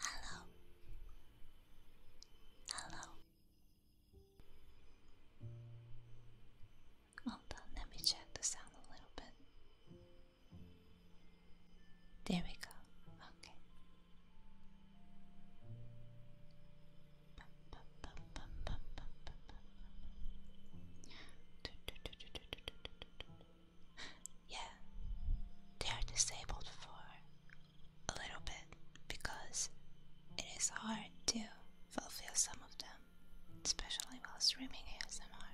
Hello. Hello. Hold on, let me check the sound a little bit. There we go. Okay yeah, they are disabled for a little bit because it is hard to fulfill some of them, especially while streaming ASMR.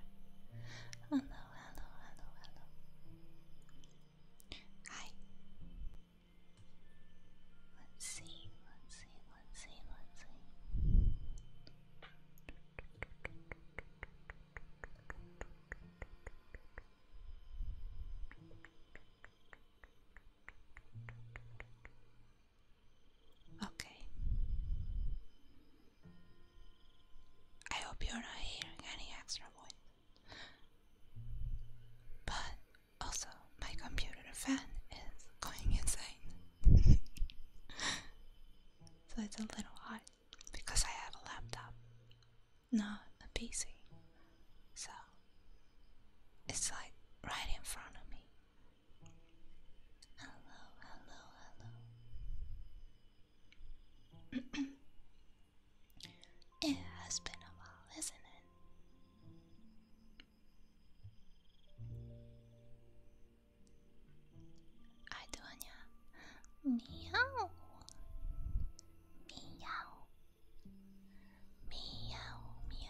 Hello, hello, hello, hello. Hi. Let's see, let's see, let's see, let's see. Okay. I hope you're not hearing any extra noise, But also, my computer fan is going insane. so it's a little hard because I have a laptop, not a PC. So it's like right in front of me. Hello, hello, hello. it has been a while, isn't it? Hi, Duanya. Meow. Meow. Meow, meow, meow,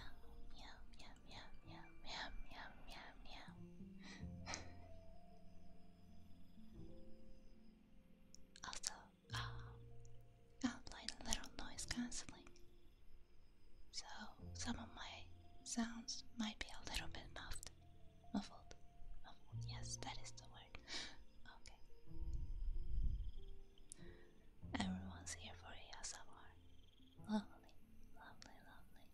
meow, meow, meow, meow, meow, meow, meow. also, uh, I'll play a little noise cancelling. So some of my sounds might be a little bit muffled. Muffled. Muffled. Yes, that is the word. Okay. Everyone's here for ASMR. Lovely, lovely, lovely.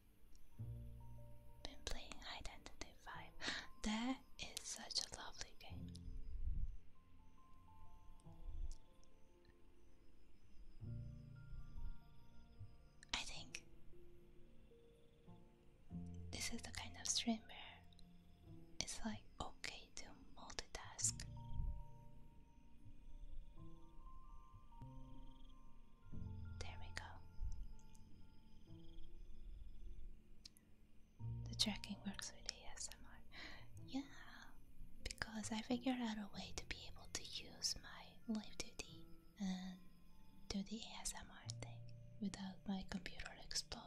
Been playing Identity 5. That is such a lovely game. I think this is the kind of stream where it's like okay to multitask. There we go. The tracking works with ASMR. Yeah, because I figured out a way to be able to use my live duty and do the ASMR thing without my computer exploding.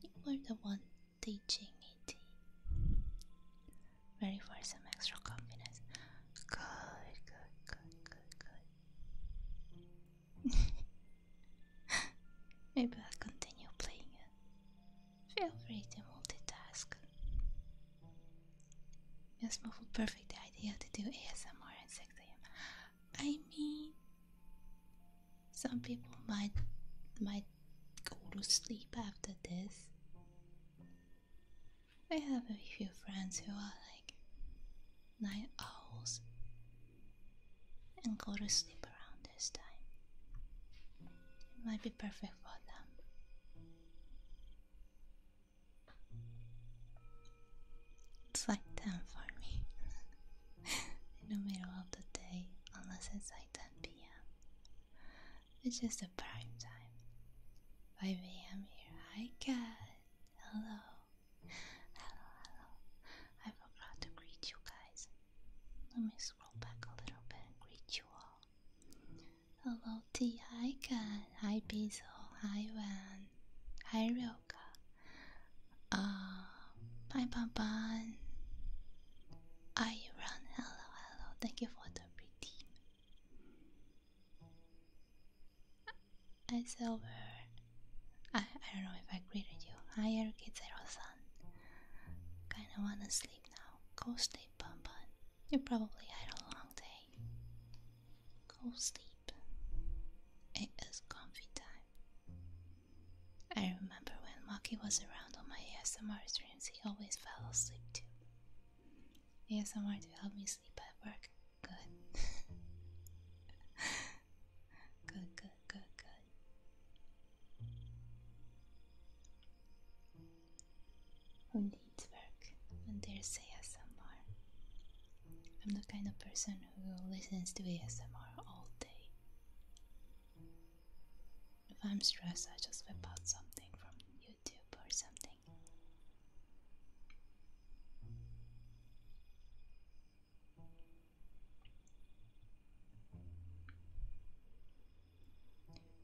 You were the one teaching me Ready for some extra confidence. Good, good, good, good, good. Maybe I'll continue playing it. Feel free to multitask. Yes, Muffle, perfect idea to do ASMR and sexting. I mean, some people might might go to sleep after this. I have a few friends who are like night owls and go to sleep around this time. It might be perfect for them. It's like them for me. in the middle of the day unless it's like 10 pm. It's just a prime time. 5 am here. Hi cat. Hello. Hello, hello. I forgot to greet you guys. Let me scroll back a little bit and greet you all. Hello T. Hi cat. Hi Bezel. Hi Wan. Hi 还有个啊，Bye bye bye. Are you run? Hello, hello. Thank you for the greeting. I silver. I I don't know if I greeted you. Hi, Erkid Zero Sun. Kinda wanna sleep now. Go sleep, Bun Bun. You probably had a long day. Go sleep sleep. It is comfy time. I remember when Maki was around on my ASMR streams, he always fell asleep too. ASMR to help me sleep at work. Good. good, good, good, good. Who needs work when there's ASMR? I'm the kind of person who listens to ASMR all day. If I'm stressed, I just whip out something from YouTube or something.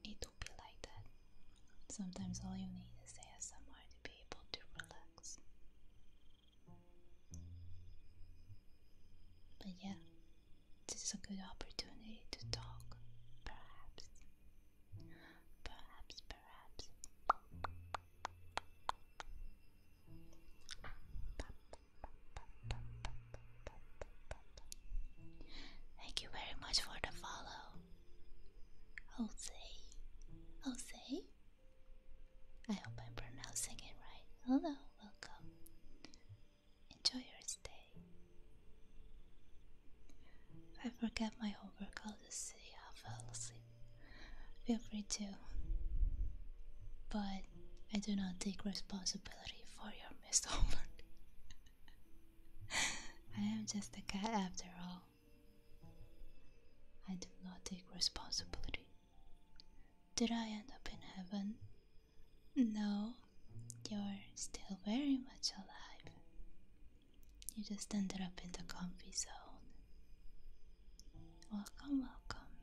It will be like that. Sometimes all you need is ASMR to be able to relax. But yeah, this is a good opportunity to talk, perhaps. Perhaps, perhaps. Thank you very much for the follow. Jose. Jose? I hope I'm pronouncing it right. Hello, welcome. Enjoy your stay. I forget my homework, I'll just say I fell asleep. Feel free to. But I do not take responsibility for your missed homework. I am just a cat after all. I do not take responsibility. Did I end up in heaven? No, you're still very much alive. You just ended up in the comfy zone. Welcome, welcome.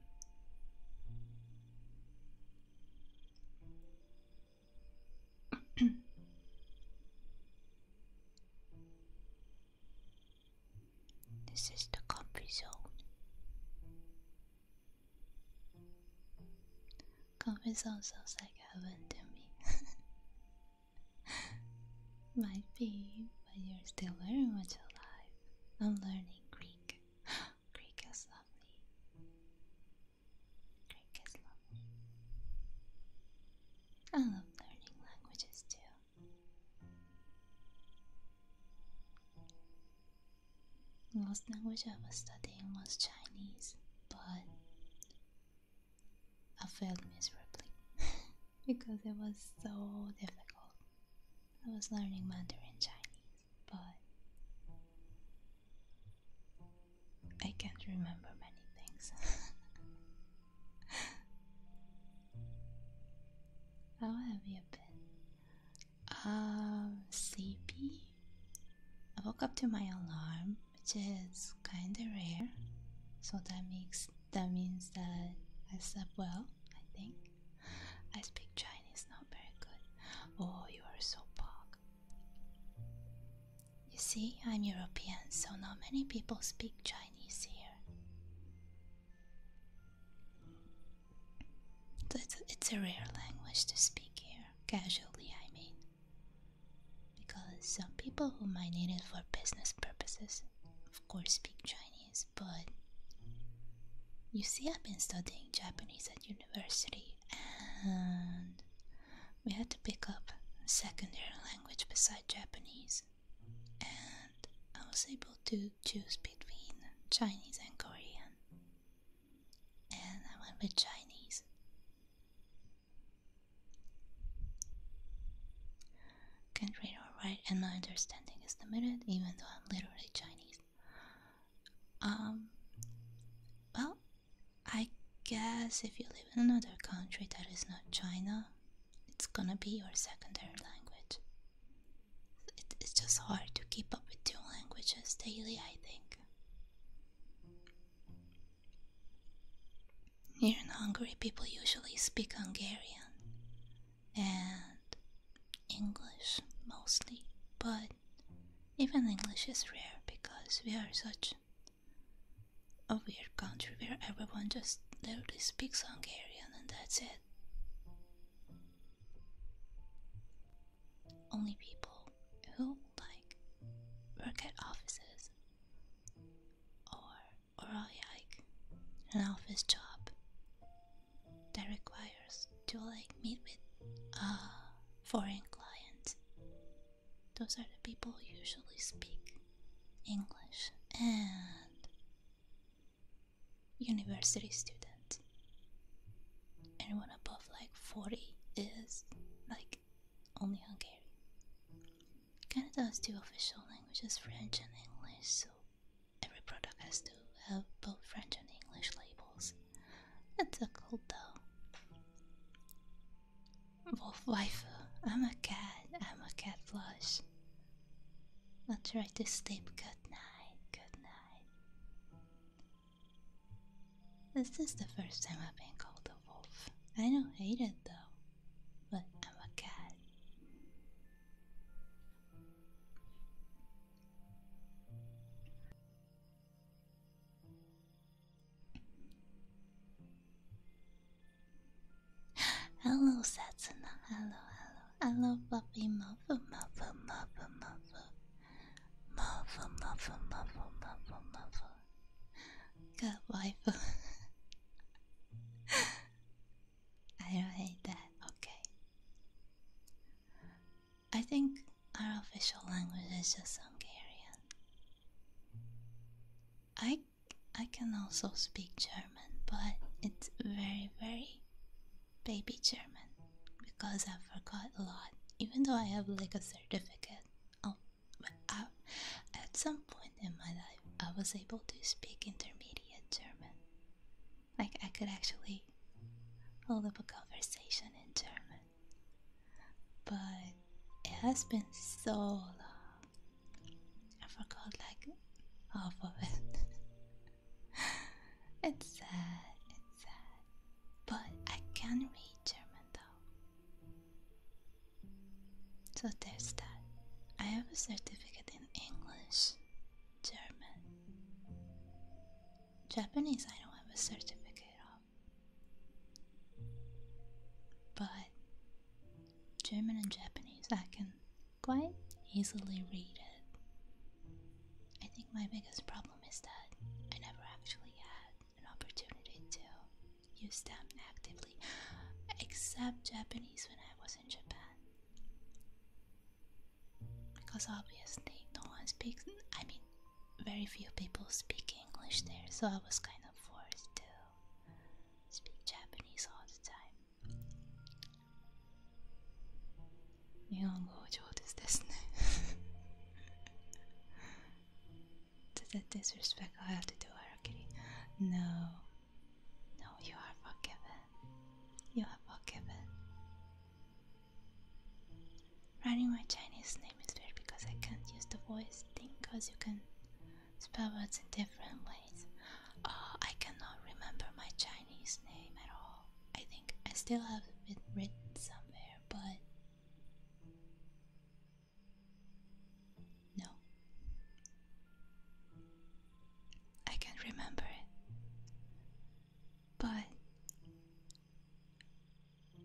This is the comfy zone. Comfy zone sounds like heaven to me. Might be, but you're still very much alive. I'm learning Greek. Greek is lovely. Greek is lovely. I love learning languages too. The last language I was studying was Chinese, but I failed miserably because it was so difficult. I was learning Mandarin Chinese, but I can't remember many things. How have you been? Um, sleepy? I woke up to my alarm, which is kinda rare, so that makes that means that I slept well, I think. I speak Chinese not very good. Oh, you are so pog. You see, I'm European, so not many people speak Chinese here it's a, it's a rare language to speak here, casually, I mean. Because some people who might need it for business purposes, of course, speak Chinese, but you see, I've been studying Japanese at university and we had to pick up a secondary language beside Japanese and I was able to choose between Chinese and Korean, and I went with Chinese. Can't read or write, and my understanding is limited, even though I'm literally Chinese. Um, well, I guess if you live in another country that is not China, it's gonna be your secondary language it's just hard to keep up with two languages daily, I think. Here in Hungary, people usually speak Hungarian and English mostly, but even English is rare because we are such a weird country where everyone just literally speaks Hungarian and that's it. Only people who like work at offices or or like an office job that requires to like meet with uh foreign clients. Those are the people who usually speak English and university student. Anyone above like 40 is like only Hungarian. Canada has two official languages, French and English, so every product has to have both French and English labels. It's a cool though. Wolf Wife, I'm a cat, I'm a cat plush. I'll try to sleep. Good night. Good night. This is the first time I've been called a wolf. I don't hate it though, but I'm a cat. hello, Satsuna. Hello, hello, I love Buffy Muffle Muffle Muffle Muffle Muffle Muffle Muffle Muffle Muffle Good wife I don't hate that, okay I think our official language is just Hungarian I I can also speak German, but it's very, very baby German because I forgot a lot, even though I have like a certificate. Oh, uh, at some point in my life, I was able to speak intermediate German. Like I could actually hold up a conversation in German, but it has been so long I forgot like half of it. it's sad, it's sad. But I can read German though. So there's that. I have a certificate in English, German. Japanese I don't have a certificate of. But German and Japanese I can quite easily read it. I think my biggest problem is that I never actually had an opportunity to use them actively, except Japanese when I was in Japan. Because obviously, no one speaks, I mean, very few people speak English there, so I was kind of forced to speak Japanese all the time. 日本語上手ですね To that disrespect I have to do harakiri No No, you are forgiven You are forgiven Writing my Chinese name is weird because I can't use the voice thing because you can spell words in different ways uh, I cannot remember my Chinese name at all. I think I still have it written somewhere, but no, I can't remember it. But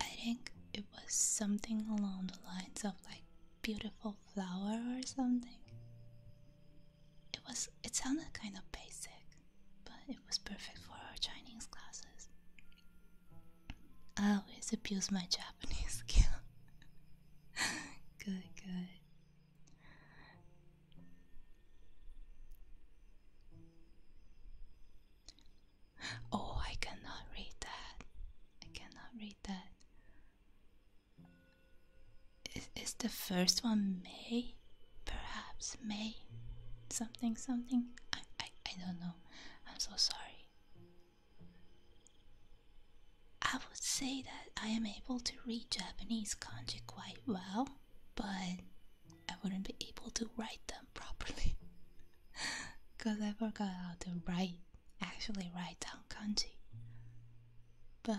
I think it was something along the lines of like beautiful flower or something. It was it sounded kind of basic, but it was perfect for our Chinese classes. I always abuse my Japanese skill. good, good. Oh, I cannot read that. I cannot read that. Is, the first one May? Perhaps May? Something, something? I, I, I don't know. I'm so sorry. I would say that I am able to read Japanese kanji quite well, but I wouldn't be able to write them properly. Because I forgot how to write, actually write down kanji. But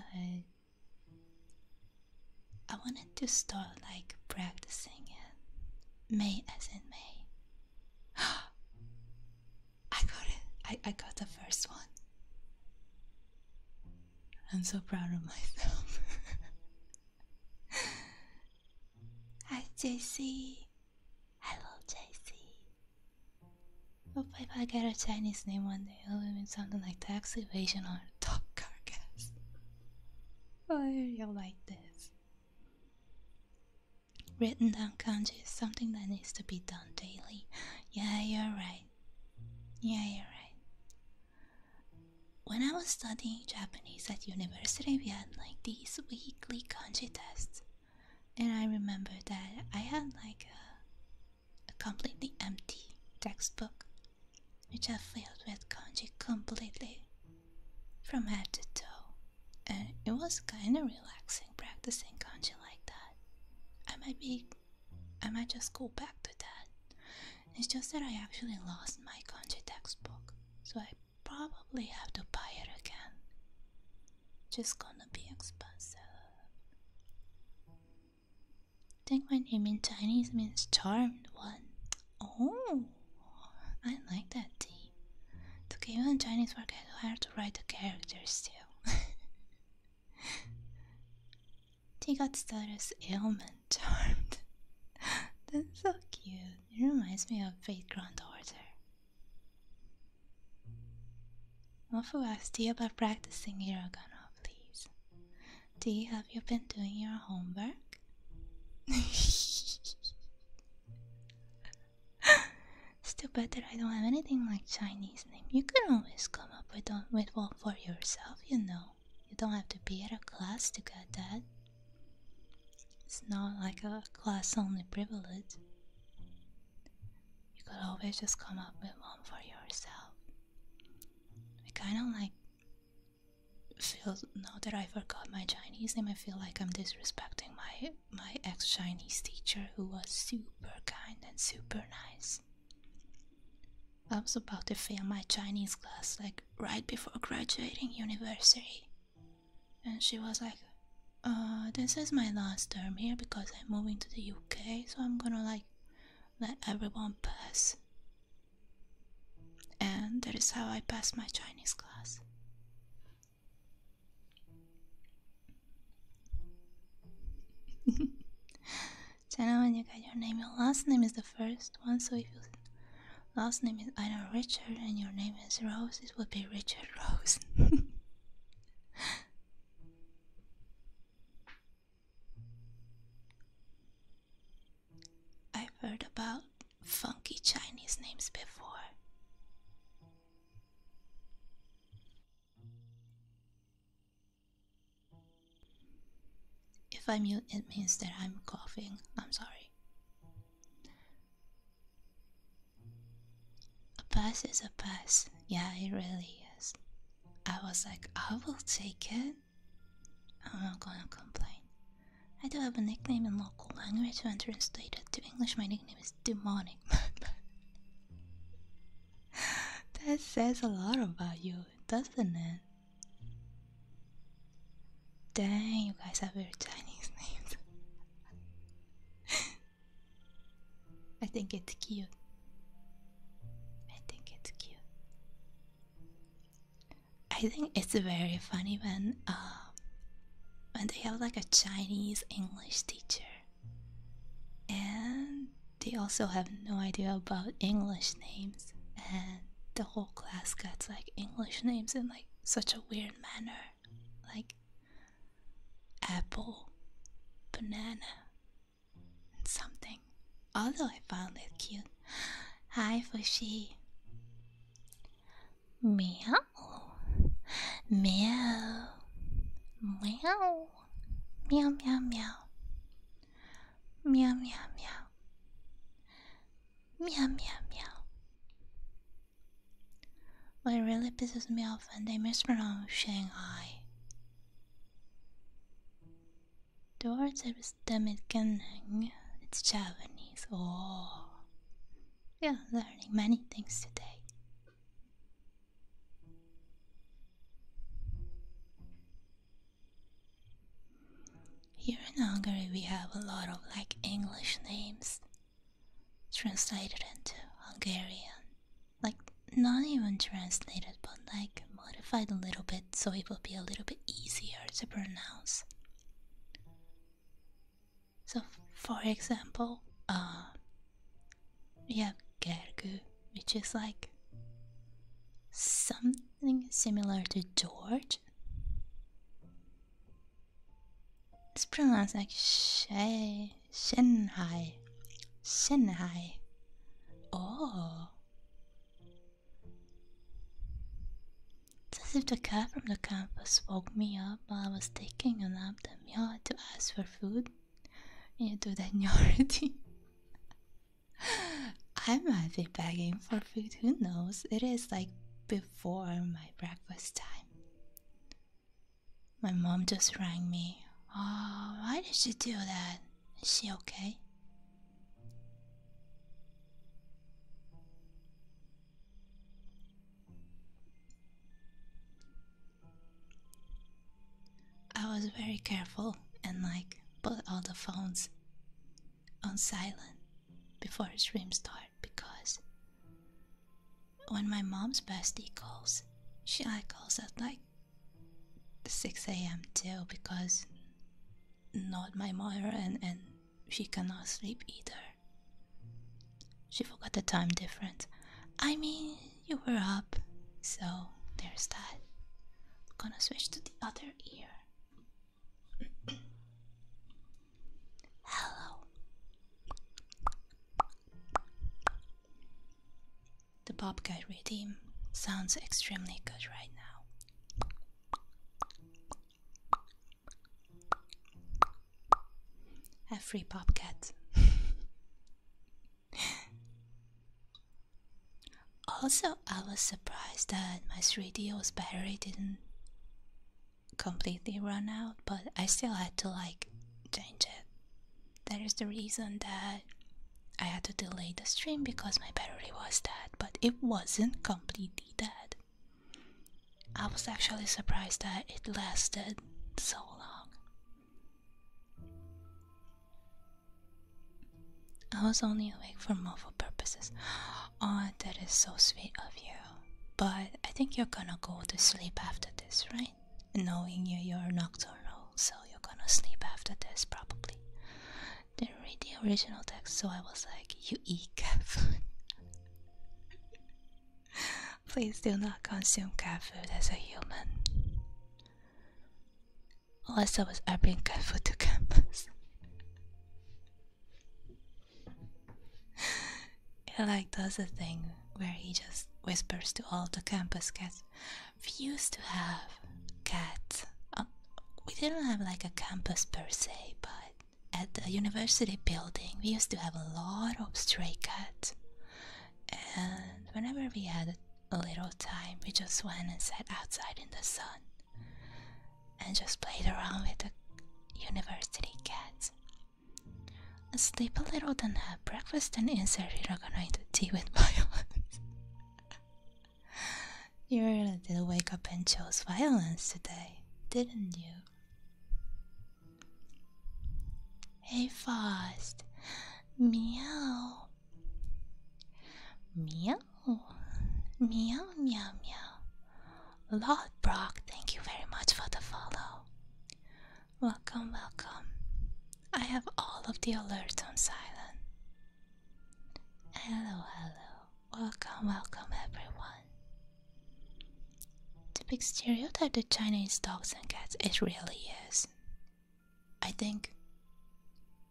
I wanted to start like practicing it. May as in May. I got it. I, I got the first one. I'm so proud of myself. Hi, JC. Hello, JC. Hope I get a Chinese name one day they owe him something like tax evasion or top carcass. Why are you like this? Written down kanji is something that needs to be done daily. Yeah, you're right. Yeah, you're right. When I was studying Japanese at university, we had like these weekly kanji tests. And I remember that I had like a completely empty textbook which I filled with kanji completely from head to toe. And it was kinda relaxing practicing kanji like that. I might be I might just go back to that. It's just that I actually lost my kanji textbook, so I probably have to buy it again. Just gonna be expensive. I think my name in Chinese means charmed one. Oh, I like that tea. To give you a Chinese work, I had to write the characters too. Tea got status ailment charmed. That's so cute. It reminds me of Fate Grand Order. Mofu asked tea about practicing hiragana, please. Do you have you been doing your homework? it's too bad that I don't have anything like Chinese name. You can always come up with on with one for yourself, you know. You don't have to be at a class to get that. It's not like a class only privilege. You could always just come up with one for yourself. I kind of like feel now that I forgot my Chinese name. I feel like I'm disrespecting my my ex Chinese teacher who was super kind and super nice. I was about to fail my Chinese class like right before graduating university, and she was like, "Uh, this is my last term here because I'm moving to the UK, so I'm gonna like let everyone pass. And that is how I passed my Chinese class. Jenna, when you got your name, your last name is the first one, so if your last name is I know Richard and your name is Rose, it would be Richard Rose. I've heard about funky Chinese names before. If I mute, it means that I'm coughing. I'm sorry. A pass is a pass. Yeah, it really is. I was like, I will take it. I'm not gonna complain. I do have a nickname in local language when translated to English. My nickname is demonic. that says a lot about you, doesn't it? Dang, you guys have your Chinese names. I think it's cute. I think it's cute. I think it's very funny when um, when they have like a Chinese English teacher, and they also have no idea about English names, and the whole class gets like English names in like such a weird manner, like apple, banana, something. Although I found it cute. Hi, Fushi. Meow. Meow. Meow. Meow, meow, meow. Meow, meow, meow. Meow, meow, meow. What really pisses me off when they mispronounce Shanghai. The words Dårtstämmet Ganheng, it's Japanese. Oh, yeah, learning many things today. Here in Hungary, we have a lot of like English names translated into Hungarian. Like, not even translated, but like modified a little bit so it will be a little bit easier to pronounce. So, for example, uh, we have Gergu, which is like something similar to George. It's pronounced like Shay, Shenhai. Shanghai. Oh, it's as if the cat from the campus woke me up while I was taking a nap that meowed to ask for food. into the that already. I might be begging for food, who knows? It is like before my breakfast time. My mom just rang me. Oh, why did she do that? Is she okay? I was very careful and like put all the phones on silent before the stream start because when my mom's bestie calls, she like calls at like 6 a.m. too because not my mother and, and she cannot sleep either. She forgot the time difference. I mean, you were up, so there's that. gonna switch to the other ear. Hello. The Bob Guy redeem sounds extremely good right now. A free popcat. also, I was surprised that my 3DO's d battery didn't completely run out, but I still had to like change it. That is the reason that I had to delay the stream because my battery was dead, but it wasn't completely dead. I was actually surprised that it lasted so long. I was only awake for mobile purposes. Oh, that is so sweet of you. But I think you're gonna go to sleep after this, right? Knowing you, you're nocturnal, so you're gonna sleep after this probably didn't read the original text, so I was like, you eat cat food. Please do not consume cat food as a human. Unless I was I bring cat food to campus. He like does a thing where he just whispers to all the campus cats, we used to have cats. Uh, we didn't have like a campus per se, but at the university building we used to have a lot of stray cats. And whenever we had a little time, we just went and sat outside in the sun and just played around with the university cats. Sleep a little, then have breakfast, and insert Hiragana into tea with my You really did wake up and chose violence today, didn't you? Hey, Faust. Meow. Meow. Meow, meow, meow. Lord Brock, thank you very much for the follow. Welcome, welcome. I have all of the alerts on silent. Hello, hello. Welcome, welcome, everyone. The big stereotype of Chinese dogs and cats it really is. I think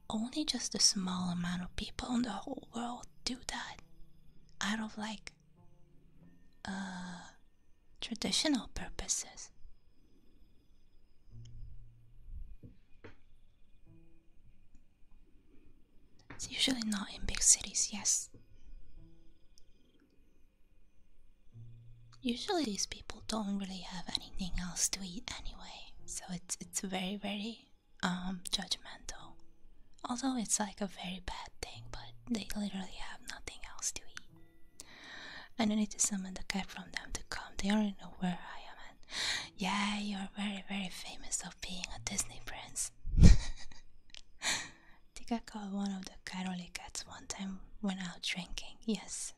only just a small amount of people in the whole world do that out of like uh traditional purposes. It's usually not in big cities, yes. Usually these people don't really have anything else to eat anyway, so it's it's very very um judgmental. Although it's like a very bad thing, but they literally have nothing else to eat. And I need to summon the cat from them to come. They already know where I am yeah, you're very, very famous of being a Disney prince. Think I caught one of the Caroly cats one time when out drinking. Yes.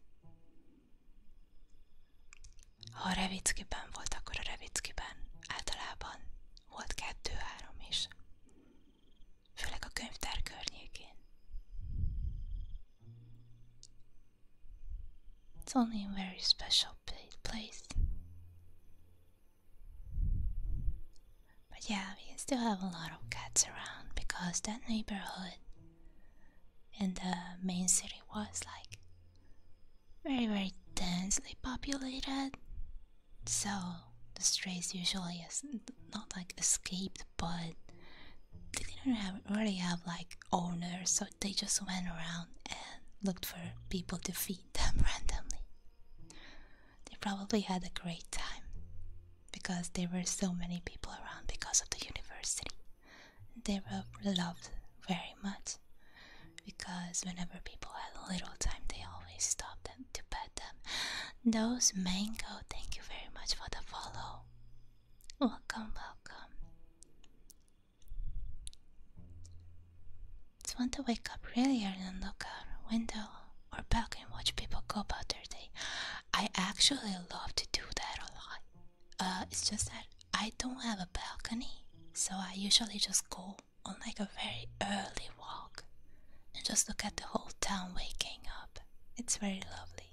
A oh, Revickiben volt akkor a Revickiben. Általában volt kettő-három is. Főleg a könyvtár környékén. It's only a very special place. But yeah, we still have a lot of cats around because that neighborhood in the main city was like very, very densely populated. So the strays usually is not like escaped, but they didn't really have like owners, so they just went around and looked for people to feed them randomly. They probably had a great time because there were so many people around because of the university. They were loved very much because whenever people had a little time, they always stopped them to pet them. Those mango, thank you very much for the follow. Welcome, welcome. Just want to wake up really early and look out a window or back and watch people go about their day. I actually love to do that a lot. Uh, it's just that I don't have a balcony, so I usually just go on like a very early walk and just look at the whole town waking up. It's very lovely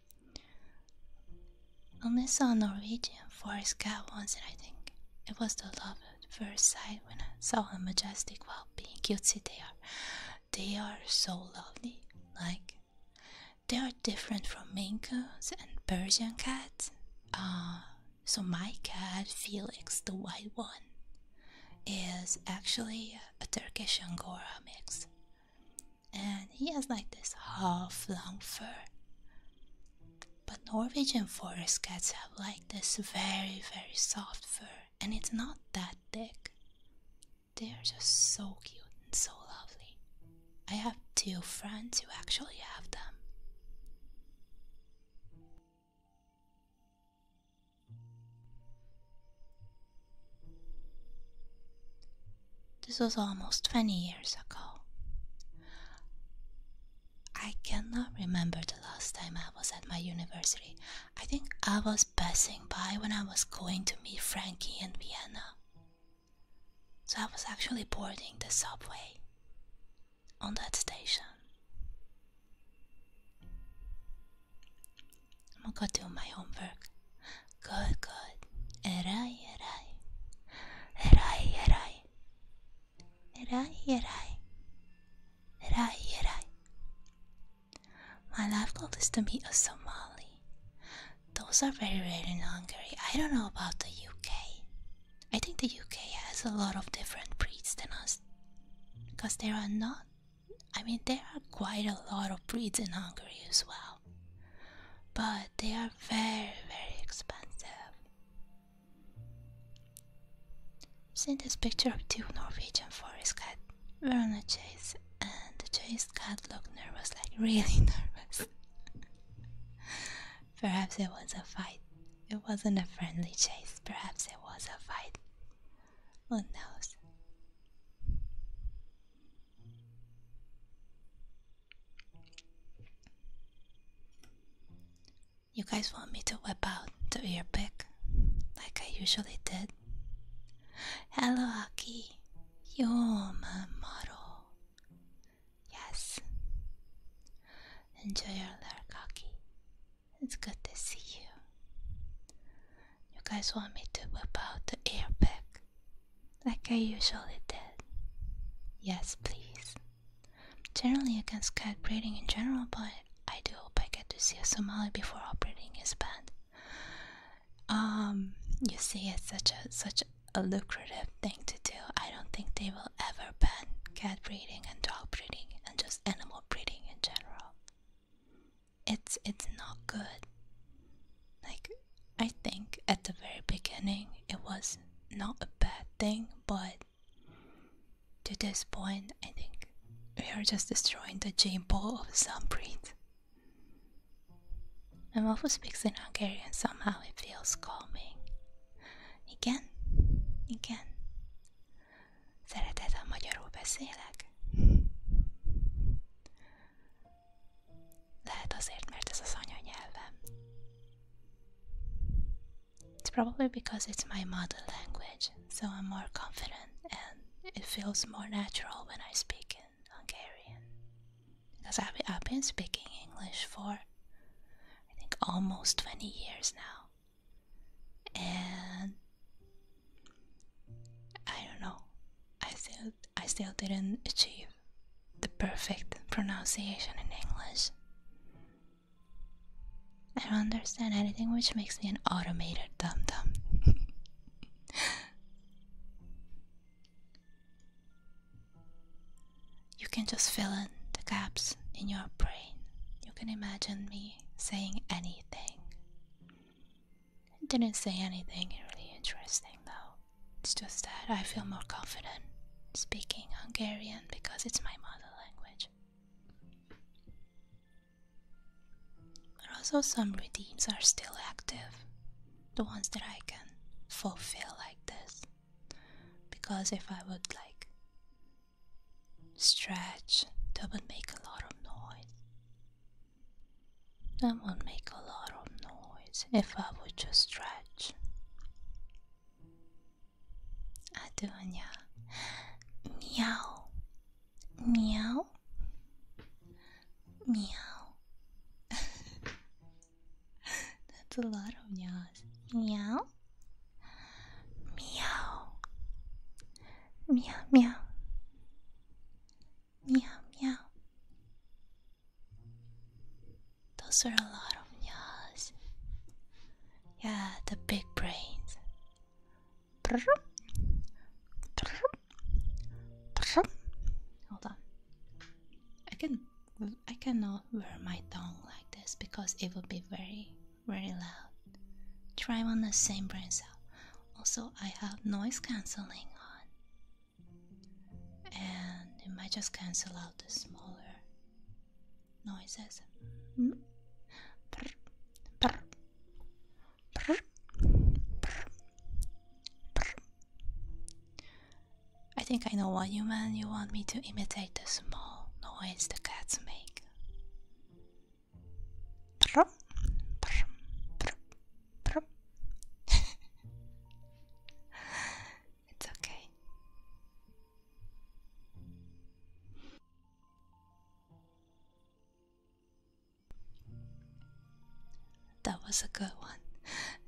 I Only saw a Norwegian forest cat once, and I think it was the love at first sight when I saw how majestic while being cute. cutesy they are. They are so lovely, like they are different from Maine Coons and Persian cats. Uh, so my cat Felix, the white one, is actually a Turkish Angora mix and he has like this half long fur. But Norwegian forest cats have like this very, very soft fur, and it's not that thick. They are just so cute and so lovely. I have two friends who actually have them. This was almost 20 years ago. I cannot remember the last time I was at my university. I think I was passing by when I was going to meet Frankie in Vienna. So I was actually boarding the subway on that station. I'm gonna do my homework. Good, good. Erai, erai. Erai, erai. Erai, erai. Erai, erai. My life goal is to meet a Somali. Those are very rare in Hungary. I don't know about the UK. I think the UK has a lot of different breeds than us. Because there are not, I mean, there are quite a lot of breeds in Hungary as well but they are very, very expensive. See this picture of two Norwegian forest cats were chase, and Chase cat looked nervous, like really nervous. perhaps it was a fight. It wasn't a friendly chase, perhaps it was a fight. Who knows? You guys want me to whip out the ear like I usually did? Hello, Aki. your are model. Yes. Enjoy your lurk, Aki. It's good to see you. You guys want me to whip out the ear like I usually did. Yes, please. Generally against cat breeding in general, but I do hope I get to see a Somali before operating his band. Um, you see, it's such a such a lucrative thing to do. I don't think they will ever ban cat breeding and dog breeding and just animal breeding in general. It's it's not good. Like I think at the very beginning it was not a bad thing, but to this point, I think we are just destroying the gene pool of some breeds. My waffle speaks in Hungarian, somehow it feels calming. Igen, igen. Szeretettel magyarul beszélek. Lehet azért, mert ez az anyanyelvem. It's probably because it's my mother language, so I'm more confident and it feels more natural when I speak in Hungarian. Because I've, I've been speaking English for, I think, almost 20 years now. And I don't know, I still, I still didn't achieve the perfect pronunciation in English. I don't understand anything which makes me an automated dum dum. you can just fill in the gaps in your brain. You can imagine me saying anything didn't say anything really interesting though. It's just that I feel more confident speaking Hungarian because it's my mother language. But also, some redeems are still active, the ones that I can fulfill like this. Because if I would like stretch, that would make a lot of noise. That would make a lot of noise if I would just stretch. Adonia. Meow. Meow. Meow. That's a lot of meows. Meow. Meow. Meow, meow. Meow, meow. Those are a lot of nyas. Yeah, the big brains. Hold on. I I cannot wear my tongue like this because it would be very very loud. Try on the same brain cell. Also, I have noise cancelling on and it might just cancel out the smaller noises. Hmm? I think I know what you mean. You want me to imitate the small noise the cats make. it's okay. That was a good one.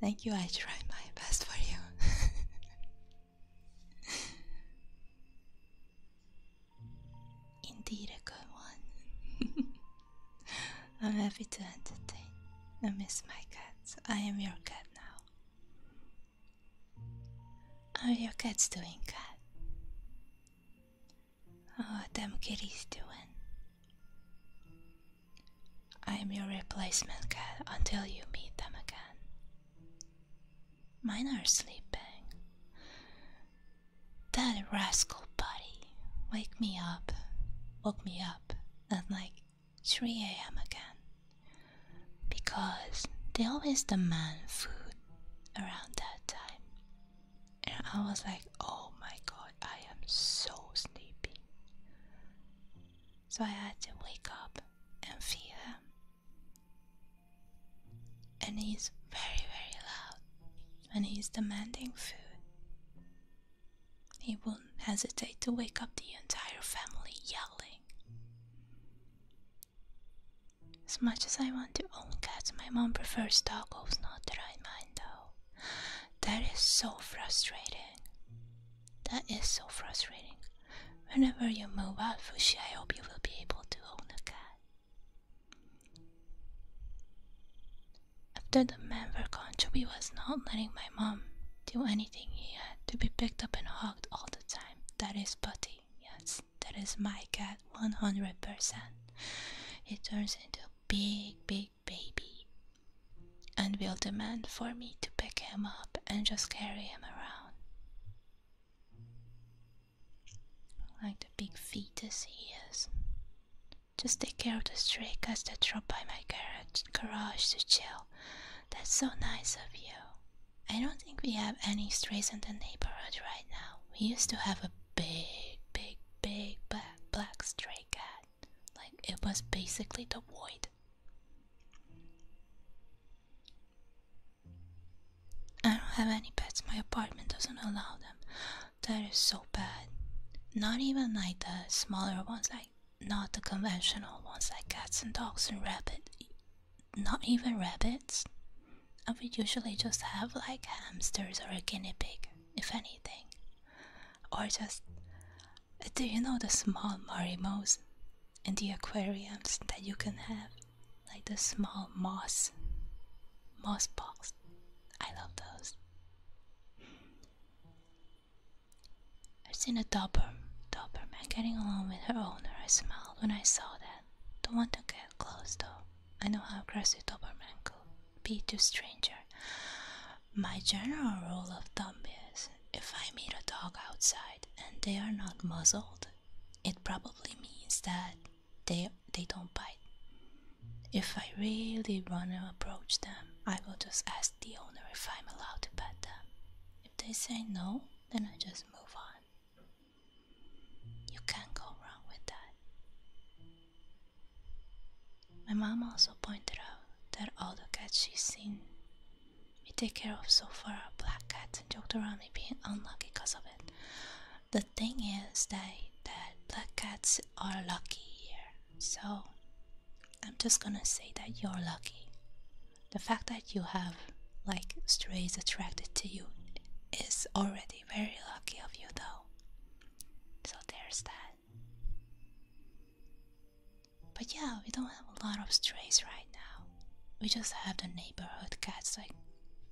Thank you, I tried my best for you. Indeed, a good one. I'm happy to entertain. I miss my cats. I am your cat now. How are your cats doing, cat? How oh, are them kitties doing? I am your replacement cat until you meet them again. Mine are sleeping. That rascal buddy. Wake me up. Wake me up at like 3 a.m. again because they always demand food around that time. And I was like, oh my god, I am so sleepy. So I had to wake up and feed him. And he's very, very loud and he's demanding food. He wouldn't hesitate to wake up the entire family yelling. As much as I want to own cats, my mom prefers dogs. not that I mind though. That is so frustrating. That is so frustrating. Whenever you move out, Fushi, I hope you will be able to own a cat. After the man were gone, Chubby was not letting my mom do anything. He had to be picked up and hugged all the time. That is Buddy. Yes, that is my cat, 100%. He turns into a big, big baby and will demand for me to pick him up and just carry him around. Like the big fetus he is. Just take care of the stray cats that drop by my garage, to chill. That's so nice of you. I don't think we have any strays in the neighborhood right now. We used to have a big, big, big black, stray cat. Like it was basically the void. I don't have any pets. My apartment doesn't allow them. That is so bad. Not even like the smaller ones, like not the conventional ones like cats and dogs and rabbits. Not even rabbits. I would usually just have like hamsters or a guinea pig, if anything. Or just. Do you know the small marimos in the aquariums that you can have? Like the small moss. Moss balls. I love those. I've seen a dauber, Doberman getting along with her owner. I smiled when I saw that. Don't want to get close though. I know how aggressive Doberman could be to stranger. My general rule of thumb is if I meet a dog outside and they are not muzzled, it probably means that they they don't bite. If I really want to approach them, I will just ask the owner if I'm allowed to pet them. If they say no, then I just move on. You can't go wrong with that. My mom also pointed out that all the cats she's seen we take care of so far are black cats and joked around me being unlucky because of it. The thing is that that black cats are lucky here, so I'm just gonna say that you're lucky. The fact that you have like strays attracted to you is already very lucky of you, though. So there's that. But yeah, we don't have a lot of strays right now. We just have the neighborhood cats like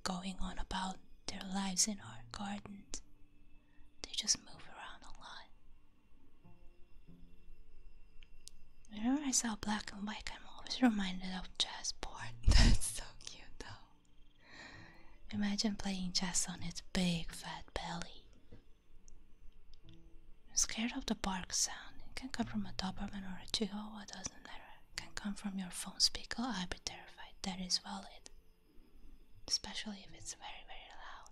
going on about their lives in our gardens. They just move around a lot. Whenever I saw black and white, I'm always reminded of jazz porn. That's so cute, though. Imagine playing chess on its big fat belly. I'm scared of the bark sound. It can come from a Doberman or a Chihuahua, doesn't matter. It can come from your phone speaker. I'd be terrified. That is valid. Especially if it's very, very loud.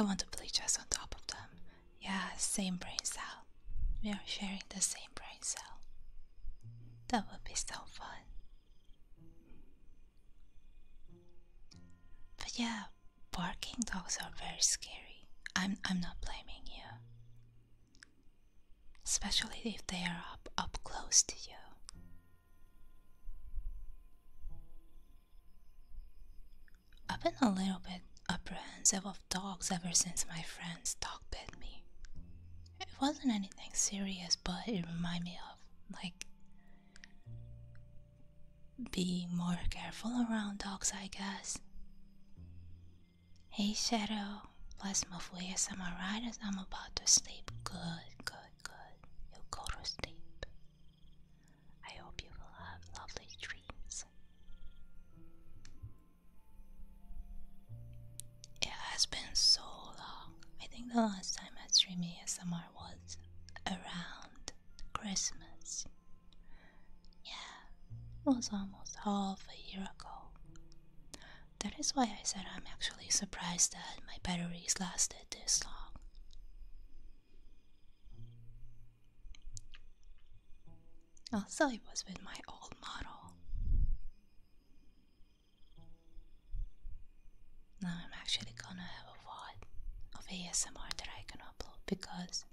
I want to play chess on top of them. Yeah, same brain cell. We are sharing the same brain cell. That would be so fun. But yeah, barking dogs are very scary. I'm I'm not blaming you especially if they are up, up close to you. I've been a little bit apprehensive of dogs ever since my friend's dog bit me. It wasn't anything serious, but it reminded me of like being more careful around dogs, I guess. Hey, Shadow let my move with some alright. as I'm about to sleep. Good, good, good. You go to sleep. I hope you will have lovely dreams. It has been so long. I think the last time I streamed ASMR was around Christmas. Yeah, it was almost half a year ago. That is why I said I'm actually surprised that my batteries lasted this long. Also, it was with my old model. Now I'm actually gonna have a VOD of ASMR that I can upload because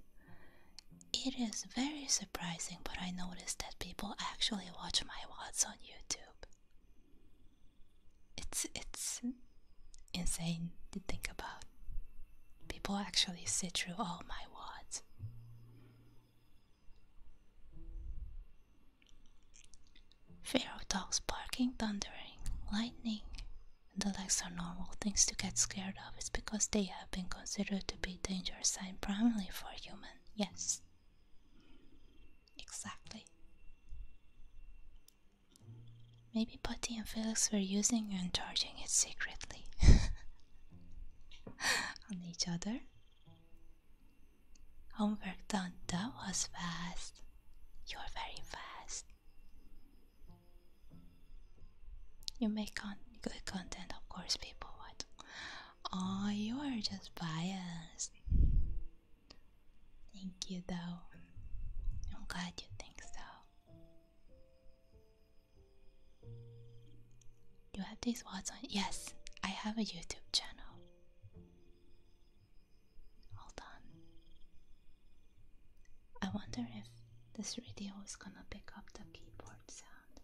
it is very surprising, but I noticed that people actually watch my VODs on YouTube. It's it's insane to think about. People actually sit through all my words. Fear of dogs barking, thundering, lightning. The legs are normal things to get scared of. It's because they have been considered to be dangerous, sign primarily for humans. Yes. Exactly. Maybe Patty and Felix were using and charging it secretly on each other. Homework done, that was fast. You're very fast. You make good content, of course, people would. Oh, you are just biased. Thank you, though. I'm glad you think so. You have these watts on? Yes, I have a YouTube channel. Hold on. I wonder if this radio is gonna pick up the keyboard sound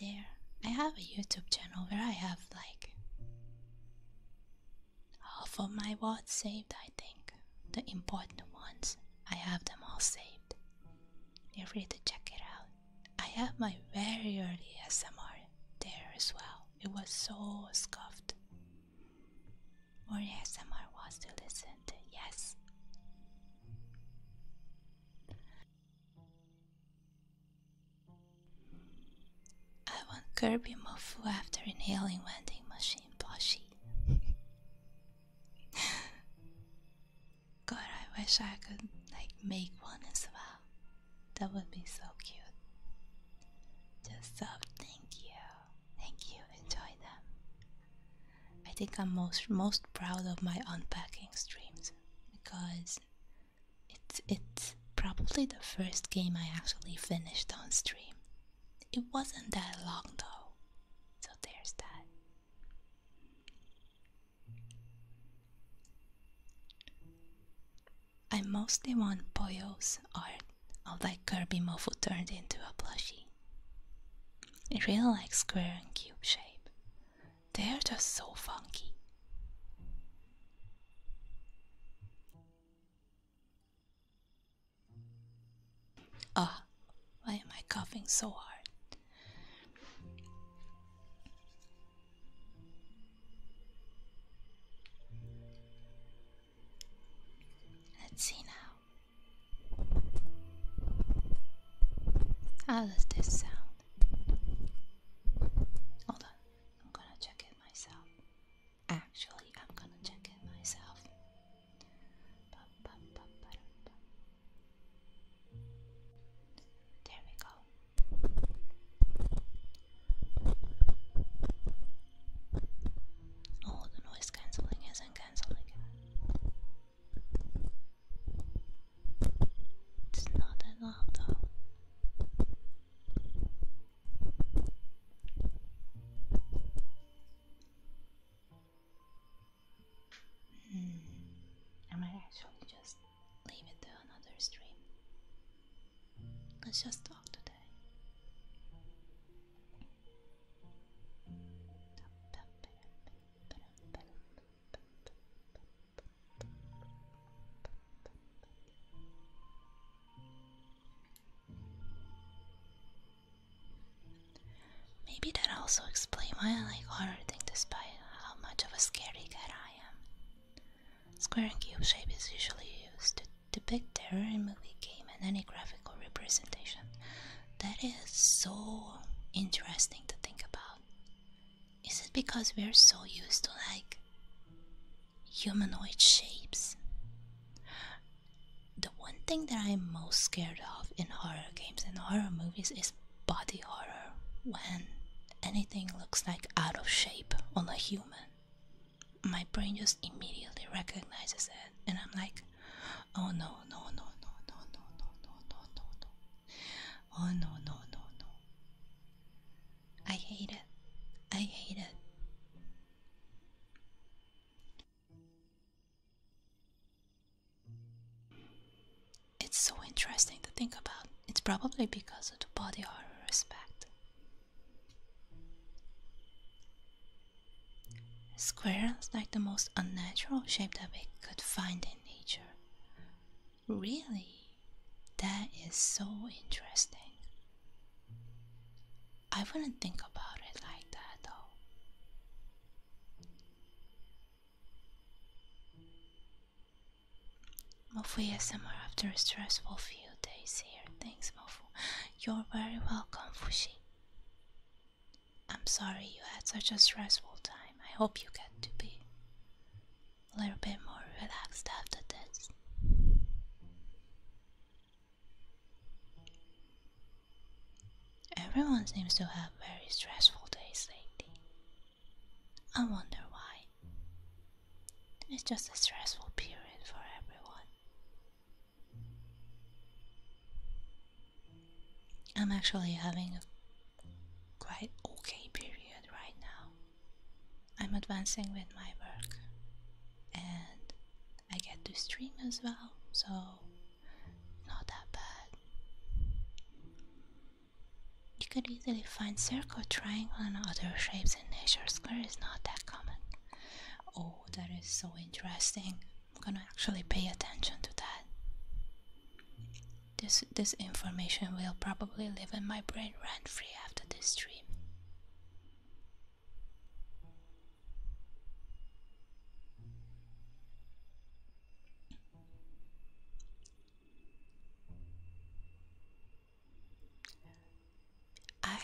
there. I have a YouTube channel where I have like half of my words saved, I think. The important ones, I have them all saved. You're free to check it out. I have my very early SMR there as well. It was so scuffed. Or ASMR was to listen to, yes. I want Kirby Mofu after inhaling vending machine plushie. God, I wish I could like make one as well. That would be so cute. Just so thank you, thank you. Enjoy them. I think I'm most most proud of my unpacking streams because it's it's probably the first game I actually finished on stream. It wasn't that long though, so there's that. I mostly want Boyo's art of that Kirby Mofu turned into a plushie. It really like square and cube shape, they're just so funky. Ah, why am I coughing so hard? Let's see now. How does this sound? Hold on, I'm gonna check it myself. Actually, I'm gonna check it myself. There we go. Oh, the noise cancelling isn't cancelling. It's not that loud though. Hmm. I might actually just leave it to another stream. Let's just talk today. Maybe that also explains why I like horror things, despite how much of a scary cat I am. Square and cube shape is usually used to depict terror in movie game and any graphical representation. That is so interesting to think about. Is it because we're so used to like humanoid shapes? The one thing that I'm most scared of in horror games and horror movies is body horror when anything looks like out of shape on a human. My brain just immediately recognizes it and I'm like, oh no, no, no, no, no, no, no, no, no, no, no. Oh no, no, no, no. I hate it. I hate it. It's so interesting to think about. It's probably because of the body respect. Square is like the most unnatural shape that we could find in nature. Really? That is so interesting. I wouldn't think about it like that though. Mofu ASMR after a stressful few days here. Thanks, Mofu. You're very welcome, Fushi. I'm sorry you had such a stressful time. I hope you get to be a little bit more relaxed after this. Everyone seems to have very stressful days lately. I wonder why. It's just a stressful period for everyone. I'm actually having a quite okay period right now. I'm advancing with my work and I get to stream as well, so not that bad. You could easily find circle, triangle, and other shapes in nature. Square is not that common. Oh, that is so interesting. I'm gonna actually pay attention to that. This this information will probably live in my brain rent-free after this stream. I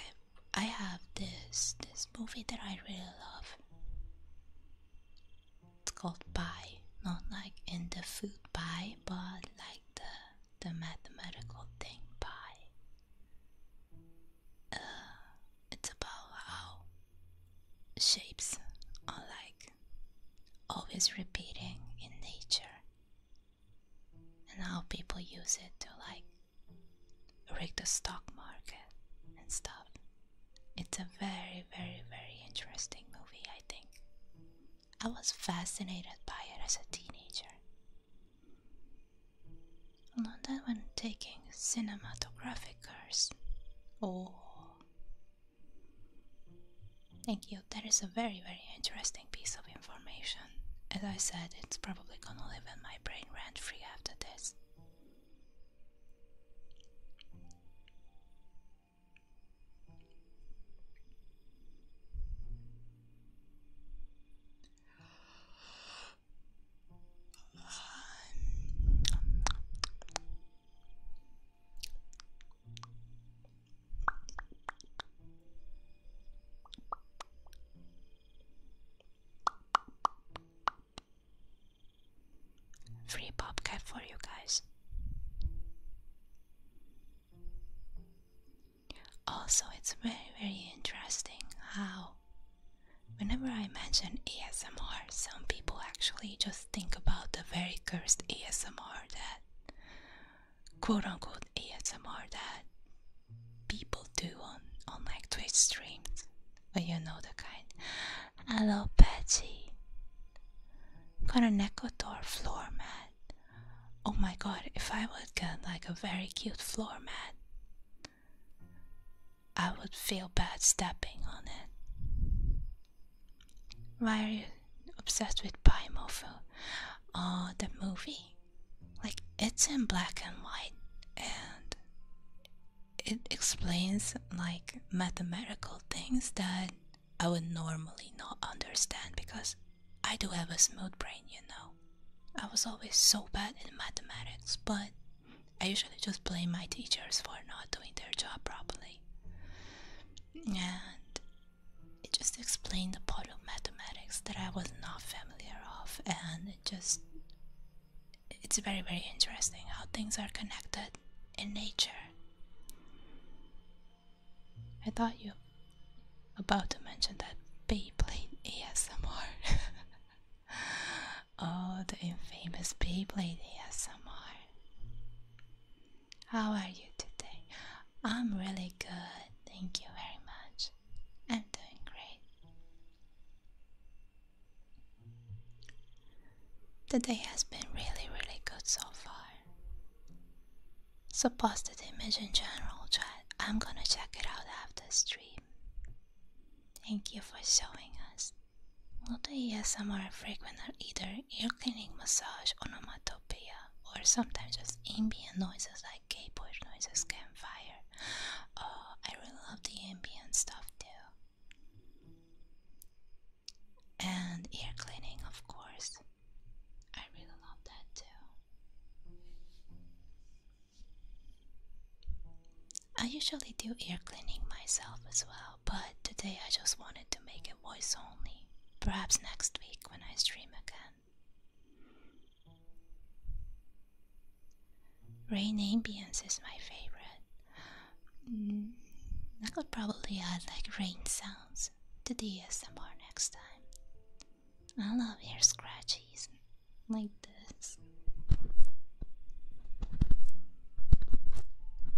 I have this this movie that I really love it's called pi, not like in the food pie, but like the the mathematical thing pi. Uh, it's about how shapes are like always repeating in nature and how people use it to like rig the stock market and stuff. It's a very, very, very interesting movie, I think. I was fascinated by it as a teenager. London, when taking cinematographic course. Oh, thank you. That is a very, very interesting piece of information. As I said, it's probably gonna live in my brain rent free after this. Free PopCap for you guys. Also, it's very, very interesting how whenever I mention ASMR, some people actually just think about the very cursed ASMR that quote unquote ASMR that people do on, on like Twitch streams. But you know the kind. Hello, Patchy. Got an echo door floor mat. Oh my god, if I would get like a very cute floor mat, I would feel bad stepping on it. Why are you obsessed with pie mofo? Oh, uh, the movie. Like, it's in black and white and it explains like mathematical things that I would normally not understand because I do have a smooth brain, you know. I was always so bad in mathematics, but I usually just blame my teachers for not doing their job properly. And it just explained the part of mathematics that I was not familiar of and it just it's very very interesting how things are connected in nature. I thought you about to mention that babe played ASMR. oh, the infamous babe played ASMR. How are you today? I'm really good, thank you very much. I'm doing great. The day has been really, really good so far. Supposed post image in general chat. I'm gonna check it out after stream. Thank you for showing us. Not a ESMR frequenter either, ear cleaning massage, onomatopoeia, or sometimes just ambient noises like keyboard noises, campfire. Oh, I really love the ambient stuff too and ear cleaning, of course. I really love that too. I usually do ear cleaning myself as well, but today I just wanted to make it voice only. Perhaps next week when I stream again. Rain ambience is my favorite. Mm, I could probably add like rain sounds to do ASMR next time. I love your scratches like this.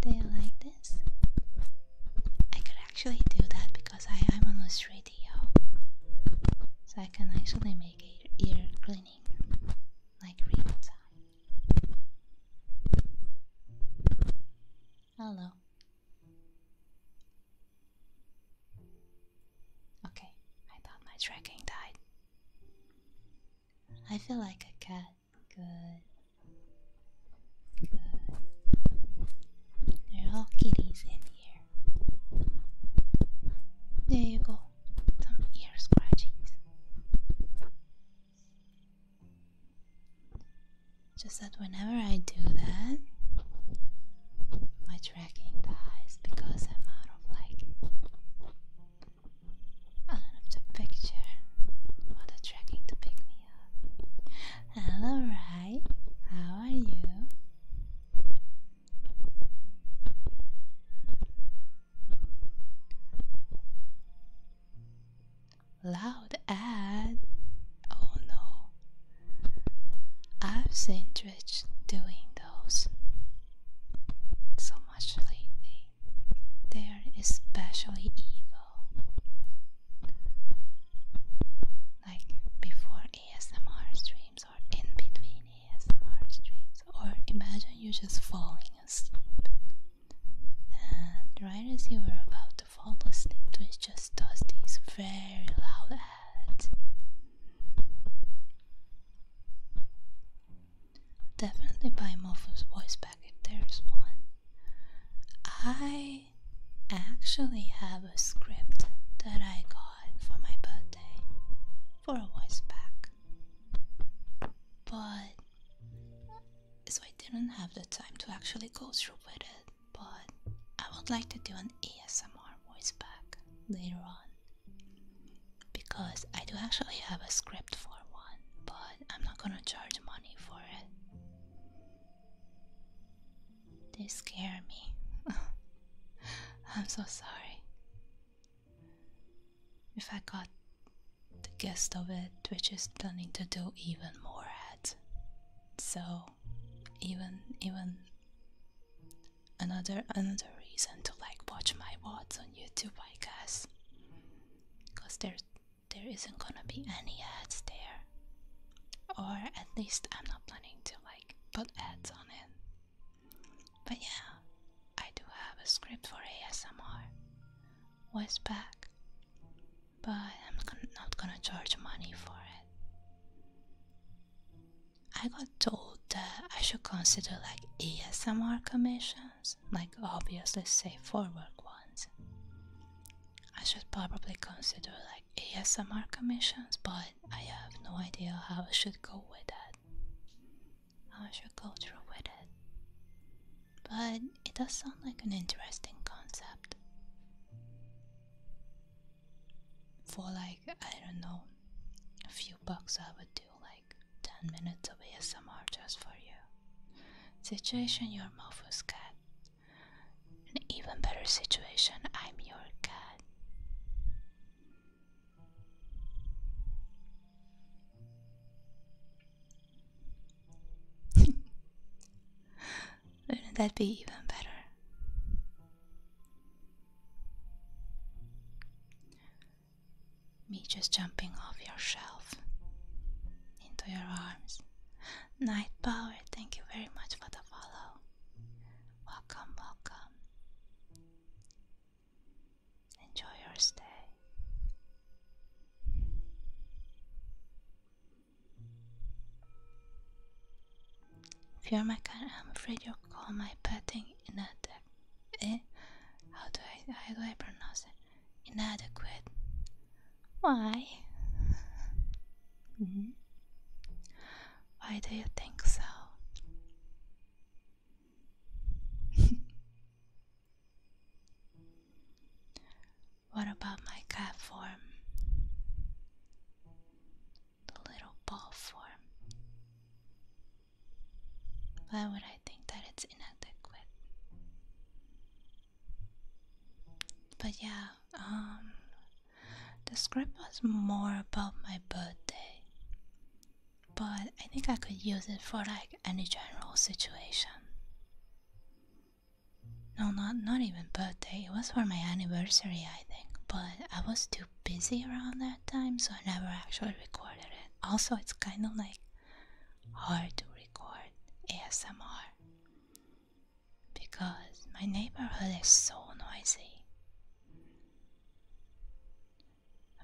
Do you like this? I could actually do that because I am on this radio, so I can actually make ear cleaning like real time. Hello, Okay, I thought my tracking died. I feel like a cat. Good. Good. They're all kitties in here. There you go. Some ear scratches. Just that whenever I do that, my tracking dies because I'm out of like out of the picture for the tracking to pick me up. Hello, right? How are you? Loud ad. Oh no. I've seen Twitch doing those so much lately. They're especially evil. Like before ASMR streams or in between ASMR streams. Or imagine you just falling asleep. And right as you were about to fall asleep to is just these very loud ads. Definitely buy Mofu's voice pack if there's one. I actually have a script that I got for my birthday for a voice pack, but so I didn't have the time to actually go through with it but I would like to do an ASMR voice back later on because I do actually have a script for one, but I'm not gonna charge money for it. They scare me. I'm so sorry. If I got the gist of it, which is planning to do even more ads so even even another another reason to like watch my VODs on YouTube I guess because there there isn't gonna be any ads there or at least I'm not planning to like put ads on it but yeah I do have a script for ASMR voice back but I'm not gonna charge money for it. I got told that I should consider like ASMR commissions, like obviously safe for work ones. I should probably consider like ASMR commissions, but I have no idea how I should go with that. How I should go through with it. But it does sound like an interesting concept for like I don't know a few bucks I would do like 10 minutes of ASMR just for you situation you're Mofu's cat an even better situation I'm your cat wouldn't that be even better? Me just jumping off your shelf into your arms. Night Power, thank you very much for the follow. Welcome, welcome. Enjoy your stay. If you're my cat, I'm afraid you'll call my petting inadequate. Eh? How do I how do I pronounce it? Inadequate. Why? Mm-hmm. Why do you think so? What about my cat form? The little ball form. Why would I think that it's inadequate? But yeah, um, the script was more about my birthday, but I think I could use it for like any general situation. No, not not even birthday. It was for my anniversary, I think. But I was too busy around that time, so I never actually recorded it. Also, it's kind of like hard to record ASMR because my neighborhood is so noisy.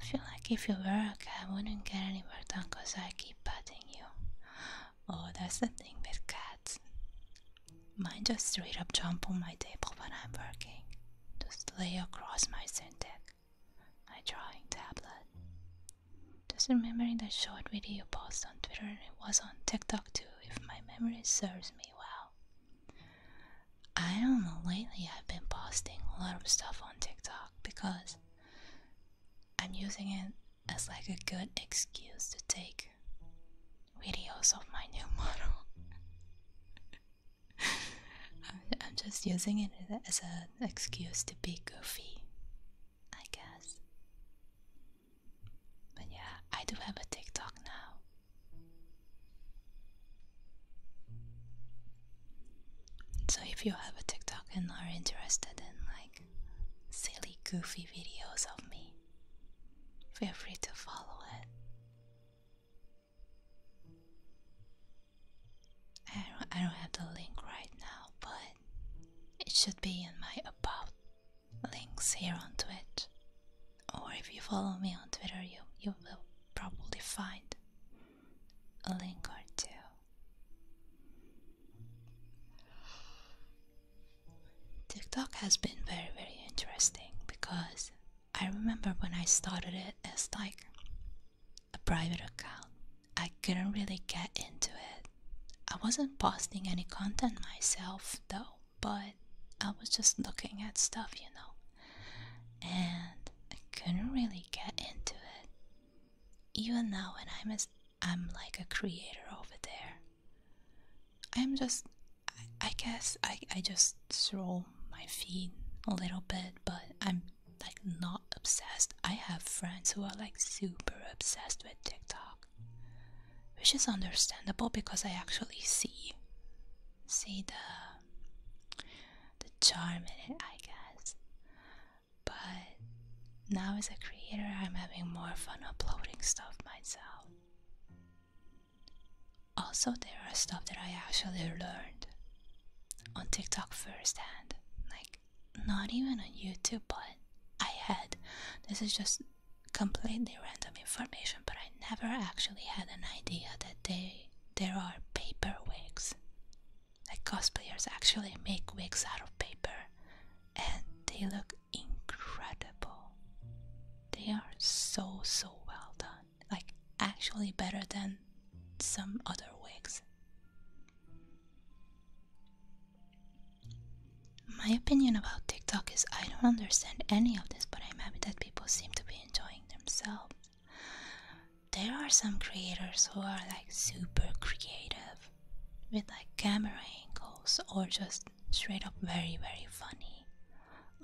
I feel like if you were a cat, I wouldn't get any work done because I keep patting you. Oh, that's the thing with cats. Mine just straight up jump on my table when I'm working. Just lay across my syntax. My drawing tablet. Just remembering that short video post on Twitter and it was on TikTok too, if my memory serves me well. I don't know, lately I've been posting a lot of stuff on TikTok because I'm using it as like a good excuse to take videos of my new model. I'm, just using it as an excuse to be goofy, I guess. But yeah, I do have a TikTok now. So if you have a TikTok and are interested in like silly goofy videos of me, Feel free to follow it. I don't, I don't have the link right now, but it should be in my about links here on Twitch. Or if you follow me on Twitter, you, you will probably find a link or two. TikTok has been very, very interesting because I remember when I started it as like a private account, I couldn't really get into it. I wasn't posting any content myself though, but I was just looking at stuff, you know, and I couldn't really get into it. Even now, when I'm I'm like a creator over there. I'm just, I, guess, I, I just throw my feet a little bit, but I'm like not obsessed. I have friends who are like super obsessed with TikTok, which is understandable because I actually see, see the, the charm in it, I guess. But now, as a creator, I'm having more fun uploading stuff myself. Also, there are stuff that I actually learned on TikTok firsthand. Like, not even on YouTube, but I had this is just completely random information, but I never actually had an idea that they there are paper wigs. Like cosplayers actually make wigs out of paper and they look incredible. They are so so well done. Like actually better than some other wigs. My opinion about TikTok is I don't understand any of this, but I'm happy that people seem to be enjoying themselves. There are some creators who are like super creative with like camera angles or just straight up very, very funny.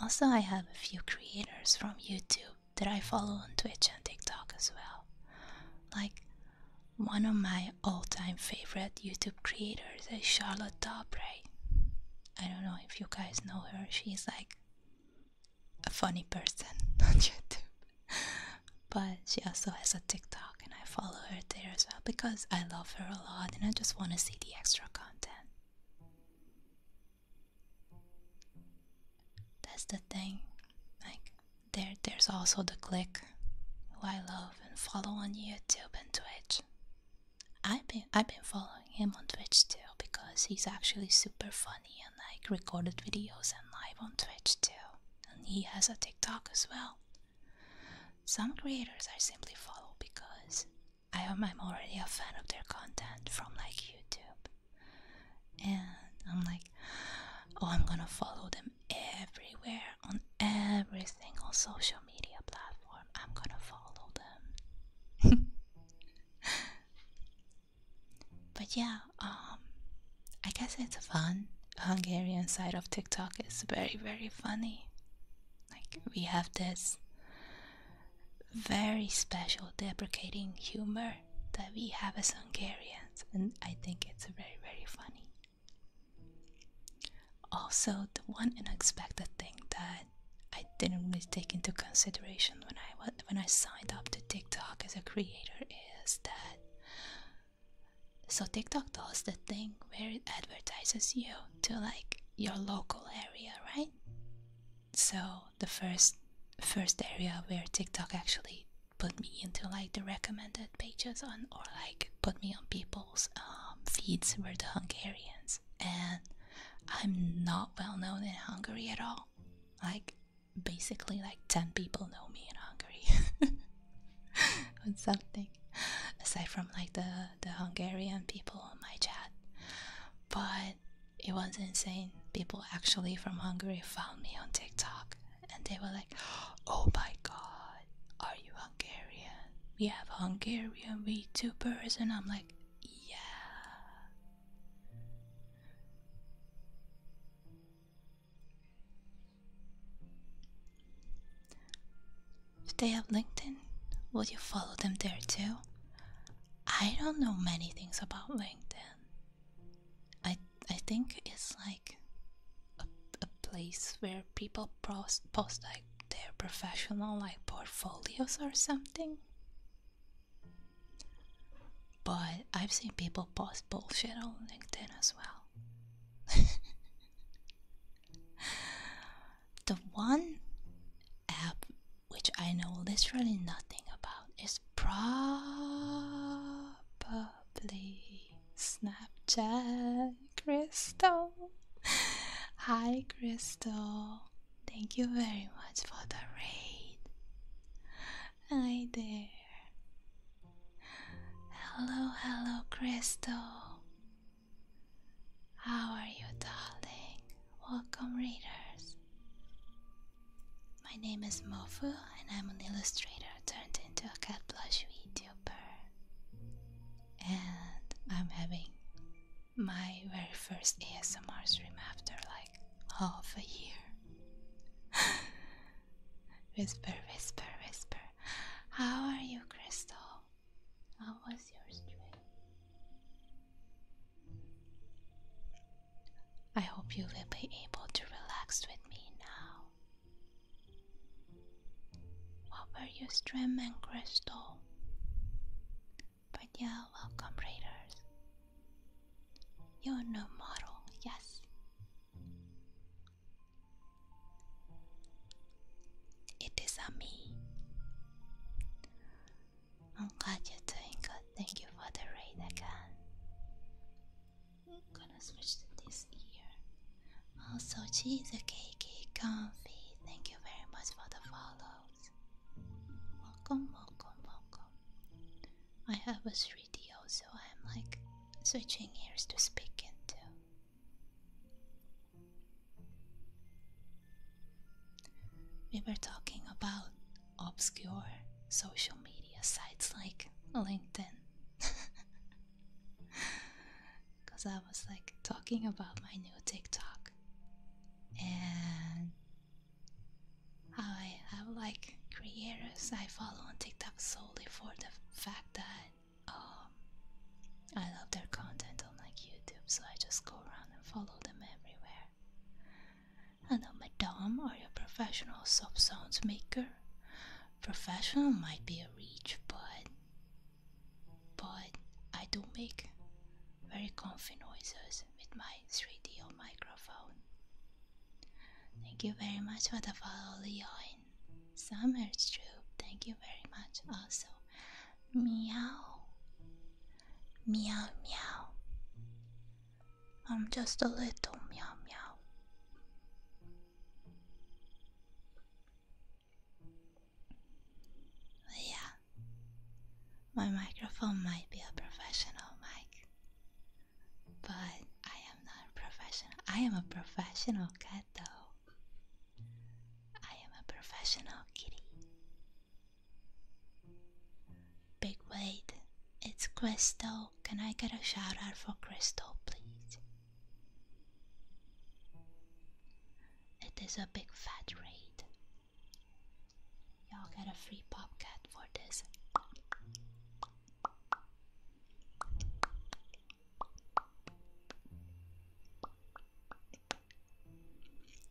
Also, I have a few creators from YouTube that I follow on Twitch and TikTok as well. Like one of my all time favorite YouTube creators is Charlotte Dobre. I don't know if you guys know her, she's like a funny person on YouTube. But she also has a TikTok TikTok and I follow her there as well because I love her a lot and I just want to see the extra content. That's the thing. Like there there's also the click who I love and follow on YouTube and Twitch. I've been I've been following him on Twitch too because he's actually super funny and like recorded videos and live on Twitch too. And he has a TikTok as well. Some creators I simply follow because I am already a fan of their content from like YouTube. And I'm like, oh, I'm gonna follow them everywhere on every single social media platform. I'm gonna follow them. but yeah, um, I guess it's fun Hungarian side of TikTok is very, very funny. Like, we have this very special deprecating humor that we have as Hungarians, and I think it's very, very funny. Also, the one unexpected thing that I didn't really take into consideration when I when I signed up to TikTok as a creator is that so TikTok does the thing where it advertises you to like your local area, right? So the first first area where TikTok actually put me into like the recommended pages on or like put me on people's um, feeds were the Hungarians and I'm not well known in Hungary at all. Like basically like 10 people know me in Hungary. on something aside from like the the Hungarian people on my chat, but it was insane. People actually from Hungary found me on TikTok and they were like, "Oh my God, are you Hungarian? We have Hungarian YouTubers," and I'm like, "Yeah." If they have LinkedIn? would you follow them there too? I don't know many things about LinkedIn. I I think it's like a, a place where people post, post like their professional like portfolios or something. But I've seen people post bullshit on LinkedIn as well. The one app which I know literally nothing about is probably Snapchat. Crystal. Hi, Crystal. Thank you very much for the raid. Hi there. Hello, hello, Crystal. How are you, darling? Welcome, readers. My name is Mofu, and I'm an illustrator turned into a cat plush VTuber. And I'm having my very first ASMR stream after like half a year. whisper, whisper, whisper. How are you, Crystal? How was your stream? I hope you will be able to relax with me now. What were your stream and crystal? But yeah, welcome readers. You're no model, yes. It is a me. I'm glad you're doing good. Thank you for the rain again. I'm gonna switch to this ear. Also, cheese cakey comfy. Thank you very much for the follows. Welcome, welcome, welcome. I have a 3D so I'm like switching ears to speak into. We were talking about obscure social media sites like LinkedIn. Because I was like talking about my new TikTok and how I have like creators I follow on TikTok solely for the fact that um, I love their content on like YouTube, so I just go around and follow them everywhere. And on Madame, are you a professional sub sounds maker? Professional might be a reach, but but I do make very comfy noises with my 3 D O microphone. Thank you very much for the follow, Leon. Summer's Troop, thank you very much. Also, meow, meow, meow. I'm just a little meow, meow. yeah, my microphone might be a professional mic, but I am not a professional. I am a professional cat, though. I am a professional kitty. Big weight. it's Crystal. Can I get a shout out for Crystal, please? It is a big fat raid. Y'all get a free popcat for this.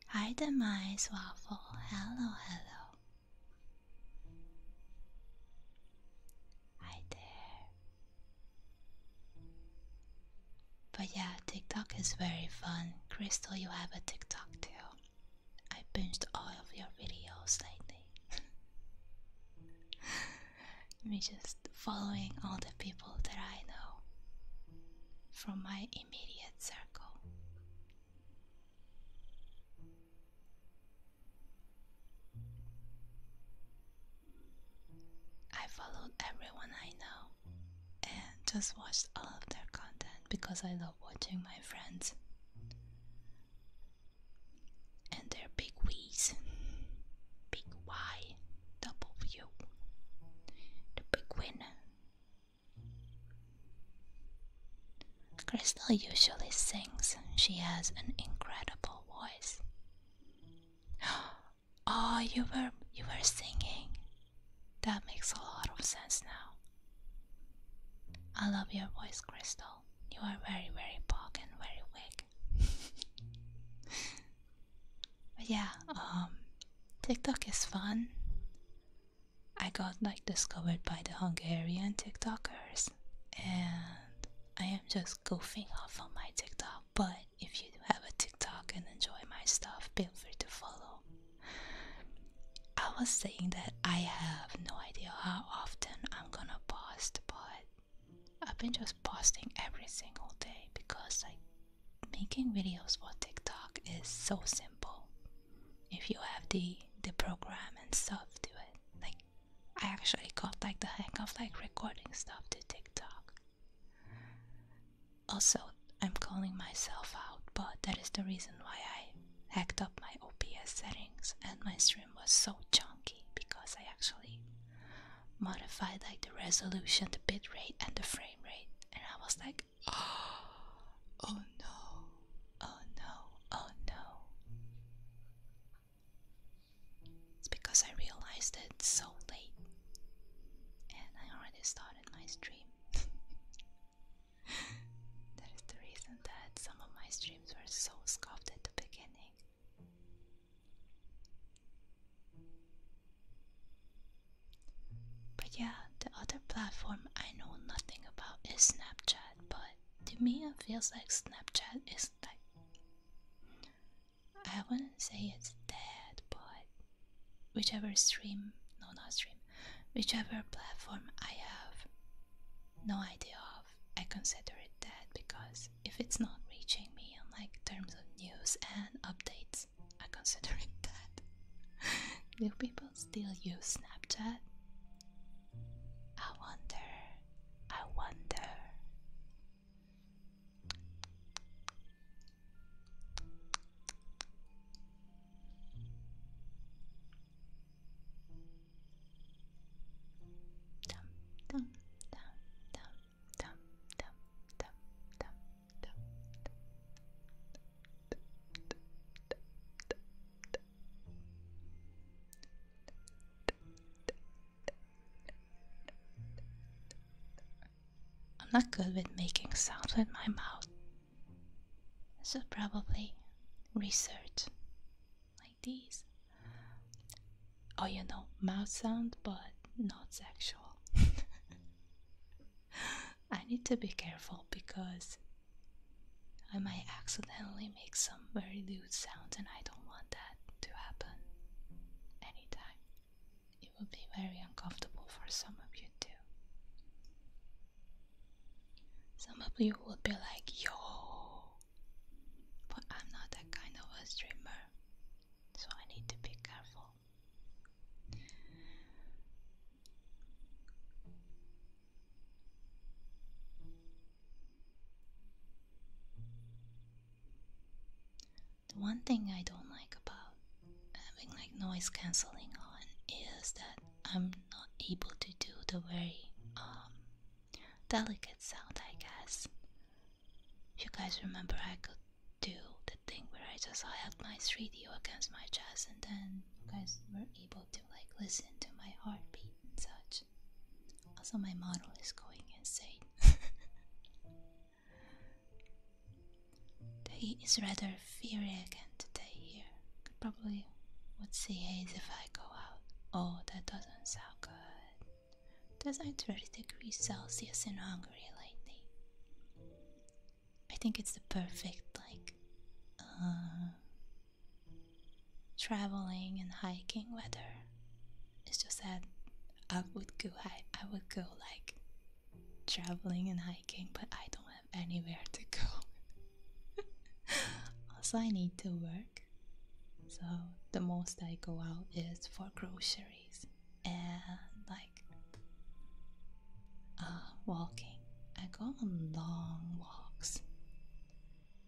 Hi, mice Waffle. Hello, hello. Hi there. But yeah, TikTok is very fun. Crystal, you have a TikTok too. I binged all of your videos lately. me just following all the people that I know from my immediate circle. I followed everyone I know and just watched all of their content because I love watching my friends and their big wins big Y W, the big winner. Crystal usually sings, she has an incredible voice. Oh, you were you were singing. That makes a lot of sense now. I love your voice, Crystal. You are very, very pog and very wig. But yeah, um, TikTok is fun. I got like discovered by the Hungarian TikTokers, and I am just goofing off on my TikTok. But if you do have a TikTok and enjoy my stuff, feel free to follow. I was saying that I have no idea how often I'm gonna post, but I've been just posting every single day because like making videos for TikTok is so simple. If you have the the program and stuff to it. Like I actually got like the hang of like recording stuff to TikTok. Also, I'm calling myself out, but that is the reason why I hacked up my OBS settings and my stream was so chunky because I actually modified like the resolution, the bit rate, and the frame rate. And I was like, oh, oh no, oh no, oh no. It's because I realized it so late. And I already started my stream. that is the reason that some of my streams were so scuffed at the beginning. But yeah, the other platform I know nothing about is Snapchat, but to me it feels like Snapchat is like I wouldn't say it's dead, but whichever stream no not stream, whichever platform I have no idea of, I consider it dead because if it's not reaching me on like terms of news and updates, I consider it dead. Do people still use Snapchat? I wonder. I wonder. Dum, dum, dum, dum, I'm not good with making sounds with my mouth. I should probably research like these oh you know mouth sound but not sexual i need to be careful because i might accidentally make some very lewd sounds and i don't want that to happen anytime it would be very uncomfortable for some of you too some of you would be like yo but i'm not that kind of a streamer so I need to be careful. The one thing I don't like about having like noise cancelling on is that I'm not able to do the very um, delicate sound I guess. you guys remember I could do the thing where I just held my 3DO against my chest and then you guys were able to like listen to my heartbeat and such. Also my model is going insane. the heat is rather fiery again today here. probably would see haze if I go out. Oh that doesn't sound good. There's not 30 degrees Celsius in Hungary lately. I think it's the perfect like uh, traveling and hiking weather. It's just that I would go I, I would go like traveling and hiking, but I don't have anywhere to go. also, I need to work, so the most I go out is for grocery and like uh, walking. I go on long walks.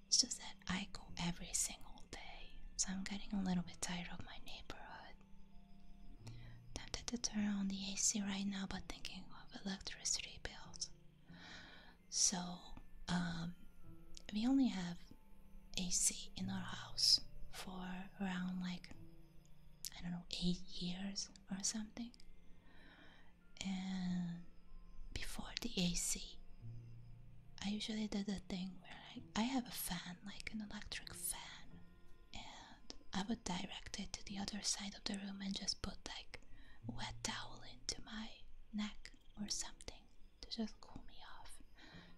It's just that I go every single day, so I'm getting a little bit tired of my neighborhood. Tempted to turn on the AC right now, but thinking of electricity bills. So, um, we only have AC in our house for around like I don't know eight years or something. And before the AC, I usually did a thing where like I have a fan, like an electric fan, and I would direct it to the other side of the room and just put like a wet towel into my neck or something to just cool me off.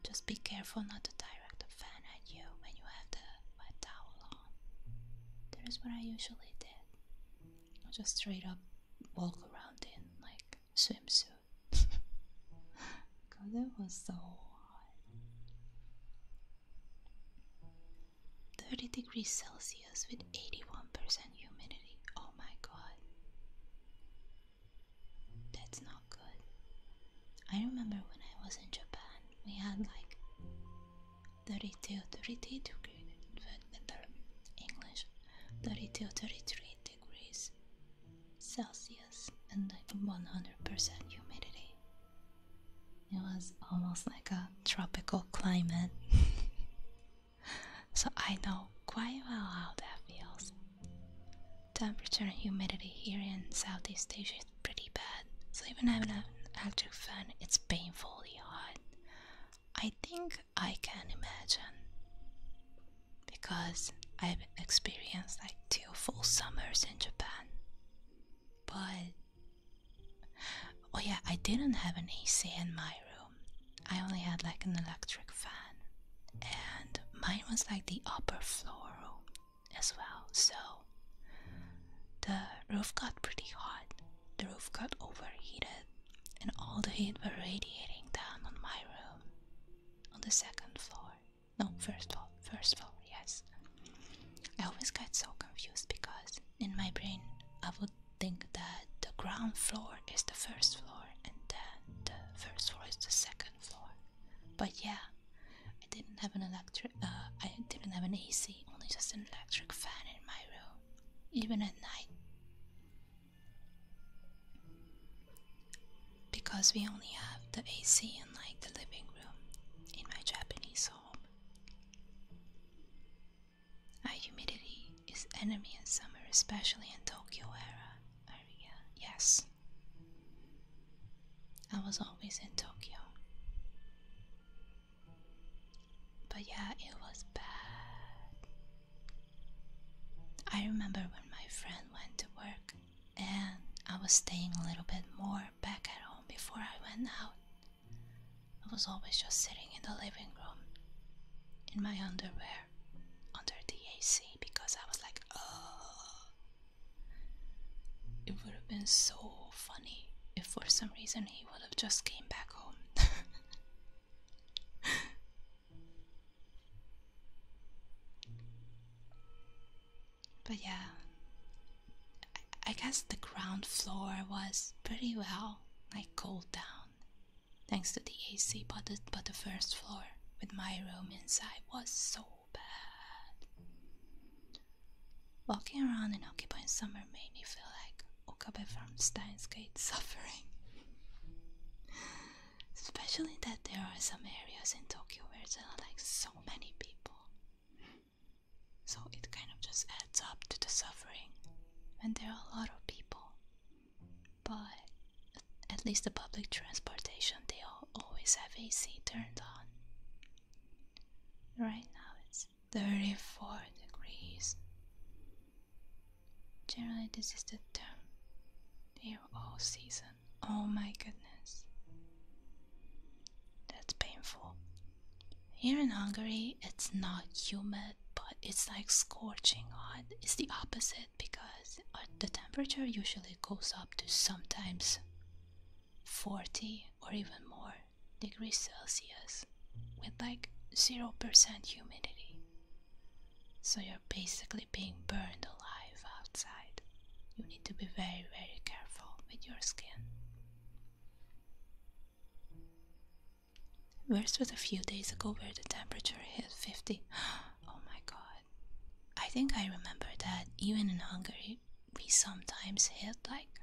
Just be careful not to direct the fan at you when you have the wet towel on. That is what I usually did. I just straight up walk around in like swimsuit. Cause it was so hot. 30 degrees Celsius with 81% humidity. Oh my god. That's not good. I remember when I was in Japan, we had like 32, 33 degrees, English, 32, degrees Celsius and 100% humidity. It was almost like a tropical climate. so I know quite well how that feels temperature and humidity here in Southeast Asia is pretty bad. So even having an electric fan, it's painfully hot. I think I can imagine because I've experienced like two full summers in Japan. But oh yeah, I didn't have an AC in my room. I only had like an electric fan, and mine was like the upper floor room, as well. So the roof got pretty hot. The roof got overheated, and all the heat were radiating down on my room on the second floor. No, first floor, first floor, yes. I always get so confused because in my brain I would think that the ground floor is the first floor and then the first floor is the second floor. But yeah, I didn't have an electric uh, I didn't have an AC, only just an electric fan in my room, even at night. Because we only have the AC in like the living room in my Japanese home. High humidity is enemy in summer, especially in Tokyo area. Yes. I was always in Tokyo. But yeah, it was bad. I remember when my friend went to work and I was staying a little bit more back at home before I went out. I was always just sitting in the living room in my underwear under the AC because I was like, oh, it would have been so funny if for some reason he would have just came back home. but yeah, I, guess the ground floor was pretty well like cooled down thanks to the AC, but but the first floor with my room inside was so bad. Walking around in in summer made me feel like Okabe from Steins Gate suffering. Especially that there are some areas in Tokyo where there are like so many people. So it kind of just adds up to the suffering when there are a lot of people. But at least the public transportation they all always have AC turned on. Right now it's 34 degrees. Generally, this is the term here all season. Oh my goodness. That's painful. Here in Hungary, it's not humid, but it's like scorching hot. It's the opposite because uh, the temperature usually actually goes up to sometimes 40 or even more degrees Celsius with like 0% humidity. So you're basically being burned alive outside. You need to be very, very careful with your skin. Whereas was a few days ago where the temperature hit 50. Oh my god. I think I remember that even in Hungary, we sometimes hit like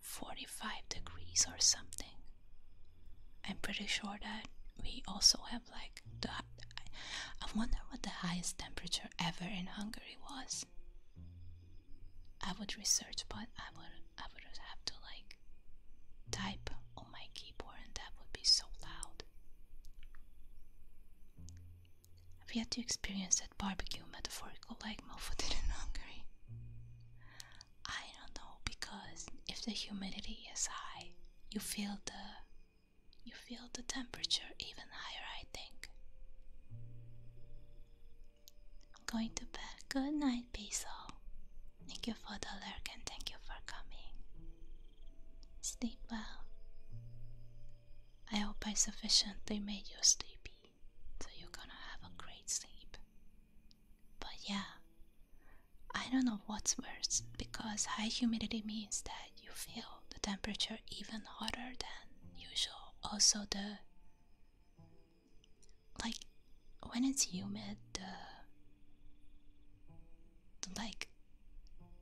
45 degrees or something. I'm pretty sure that we also have like the. I wonder what the highest temperature ever in Hungary was. I would research, but I would I would have to like type on my keyboard, and that would be so loud. I've yet to experience that barbecue metaphorical like Mofo did in Hungary. I don't know because if the humidity is high, you feel the you feel the temperature even higher, I think. I'm going to bed. Good night, Basil. Thank you for the lurk and thank you for coming. Sleep well. I hope I sufficiently made you sleepy, so you're gonna have a great sleep. But yeah, I don't know what's worse because high humidity means that you feel the temperature even hotter than usual. Also, the like when it's humid, the like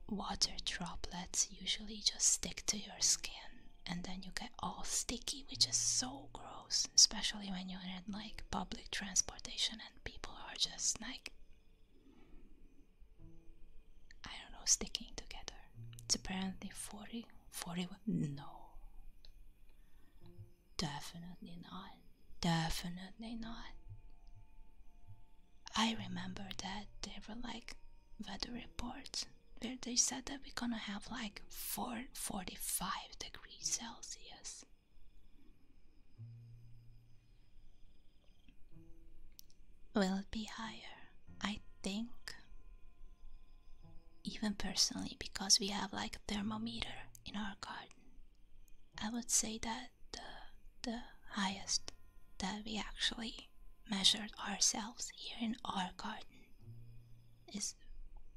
water droplets usually just stick to your skin and then you get all sticky, which is so gross, especially when you're in like public transportation and people are just like I don't know, sticking together. It's apparently 40, 40 no. Definitely not. Definitely not. I remember that they were like weather reports where they said that we're gonna have like four forty five degrees Celsius. Will be higher? I think. Even personally, because we have like a thermometer in our garden, I would say that the, the highest that we actually measured ourselves here in our garden is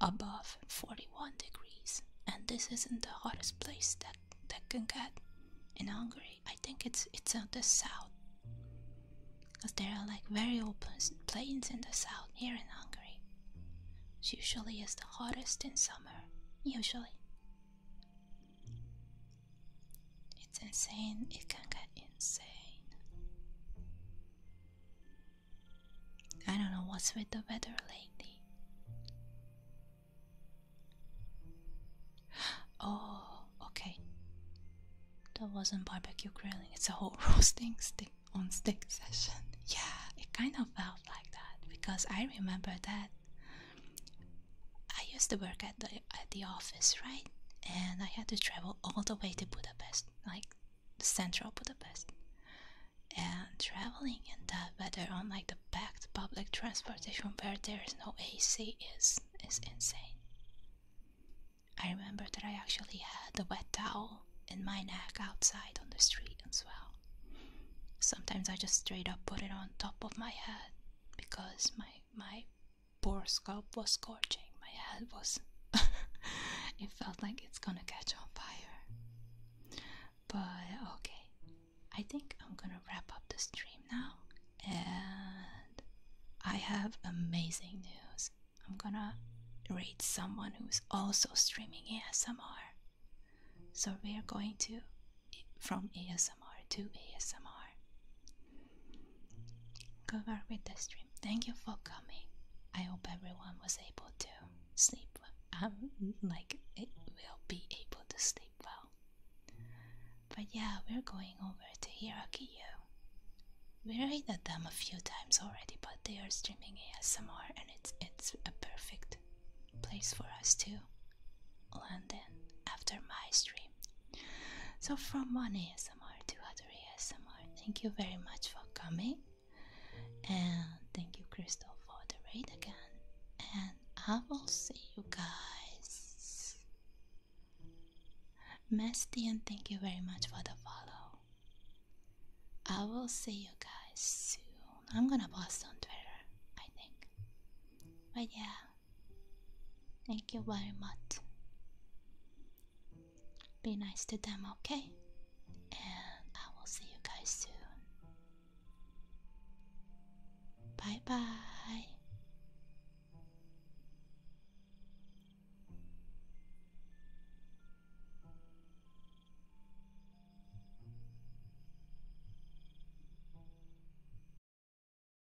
above 41 degrees and this isn't the hottest place that that can get in Hungary. I think it's it's on the south because there are like very open plains in the south here in Hungary. usually it's the hottest in summer, usually. It's insane, it can get insane. I don't know what's with the weather lately. Oh, okay. That wasn't barbecue grilling, it's a whole roasting stick on stick session. Yeah, it kind of felt like that because I remember that I used to work at the at the office, right? And I had to travel all the way to Budapest, like the central Budapest. And traveling in that weather on like the packed public transportation where there is no AC is is insane. I remember that I actually had a wet towel in my neck outside on the street as well. Sometimes I just straight up put it on top of my head because my my poor scalp was scorching. My head was. it felt like it's gonna catch on fire. But okay, I think I'm gonna wrap up the stream now. And I have amazing news. I'm gonna read someone who's also streaming ASMR. So we are going to from ASMR to ASMR. Good cover with the stream. Thank you for coming. I hope everyone was able to sleep. Um, like it will be able to sleep well. But yeah, we're going over to Hirakiyo. We are the them a few times already, but they are streaming ASMR, and it's it's a perfect place for us to land in after my stream. So, from one ASMR to other ASMR, thank you very much for coming, and thank you, Crystal, for the raid again. And I will see you guys. Mesty, thank you very much for the follow. I will see you guys soon. I'm gonna post on Twitter, I think. But yeah, Thank you very much. Be nice to them, okay? And I will see you guys soon. Bye bye.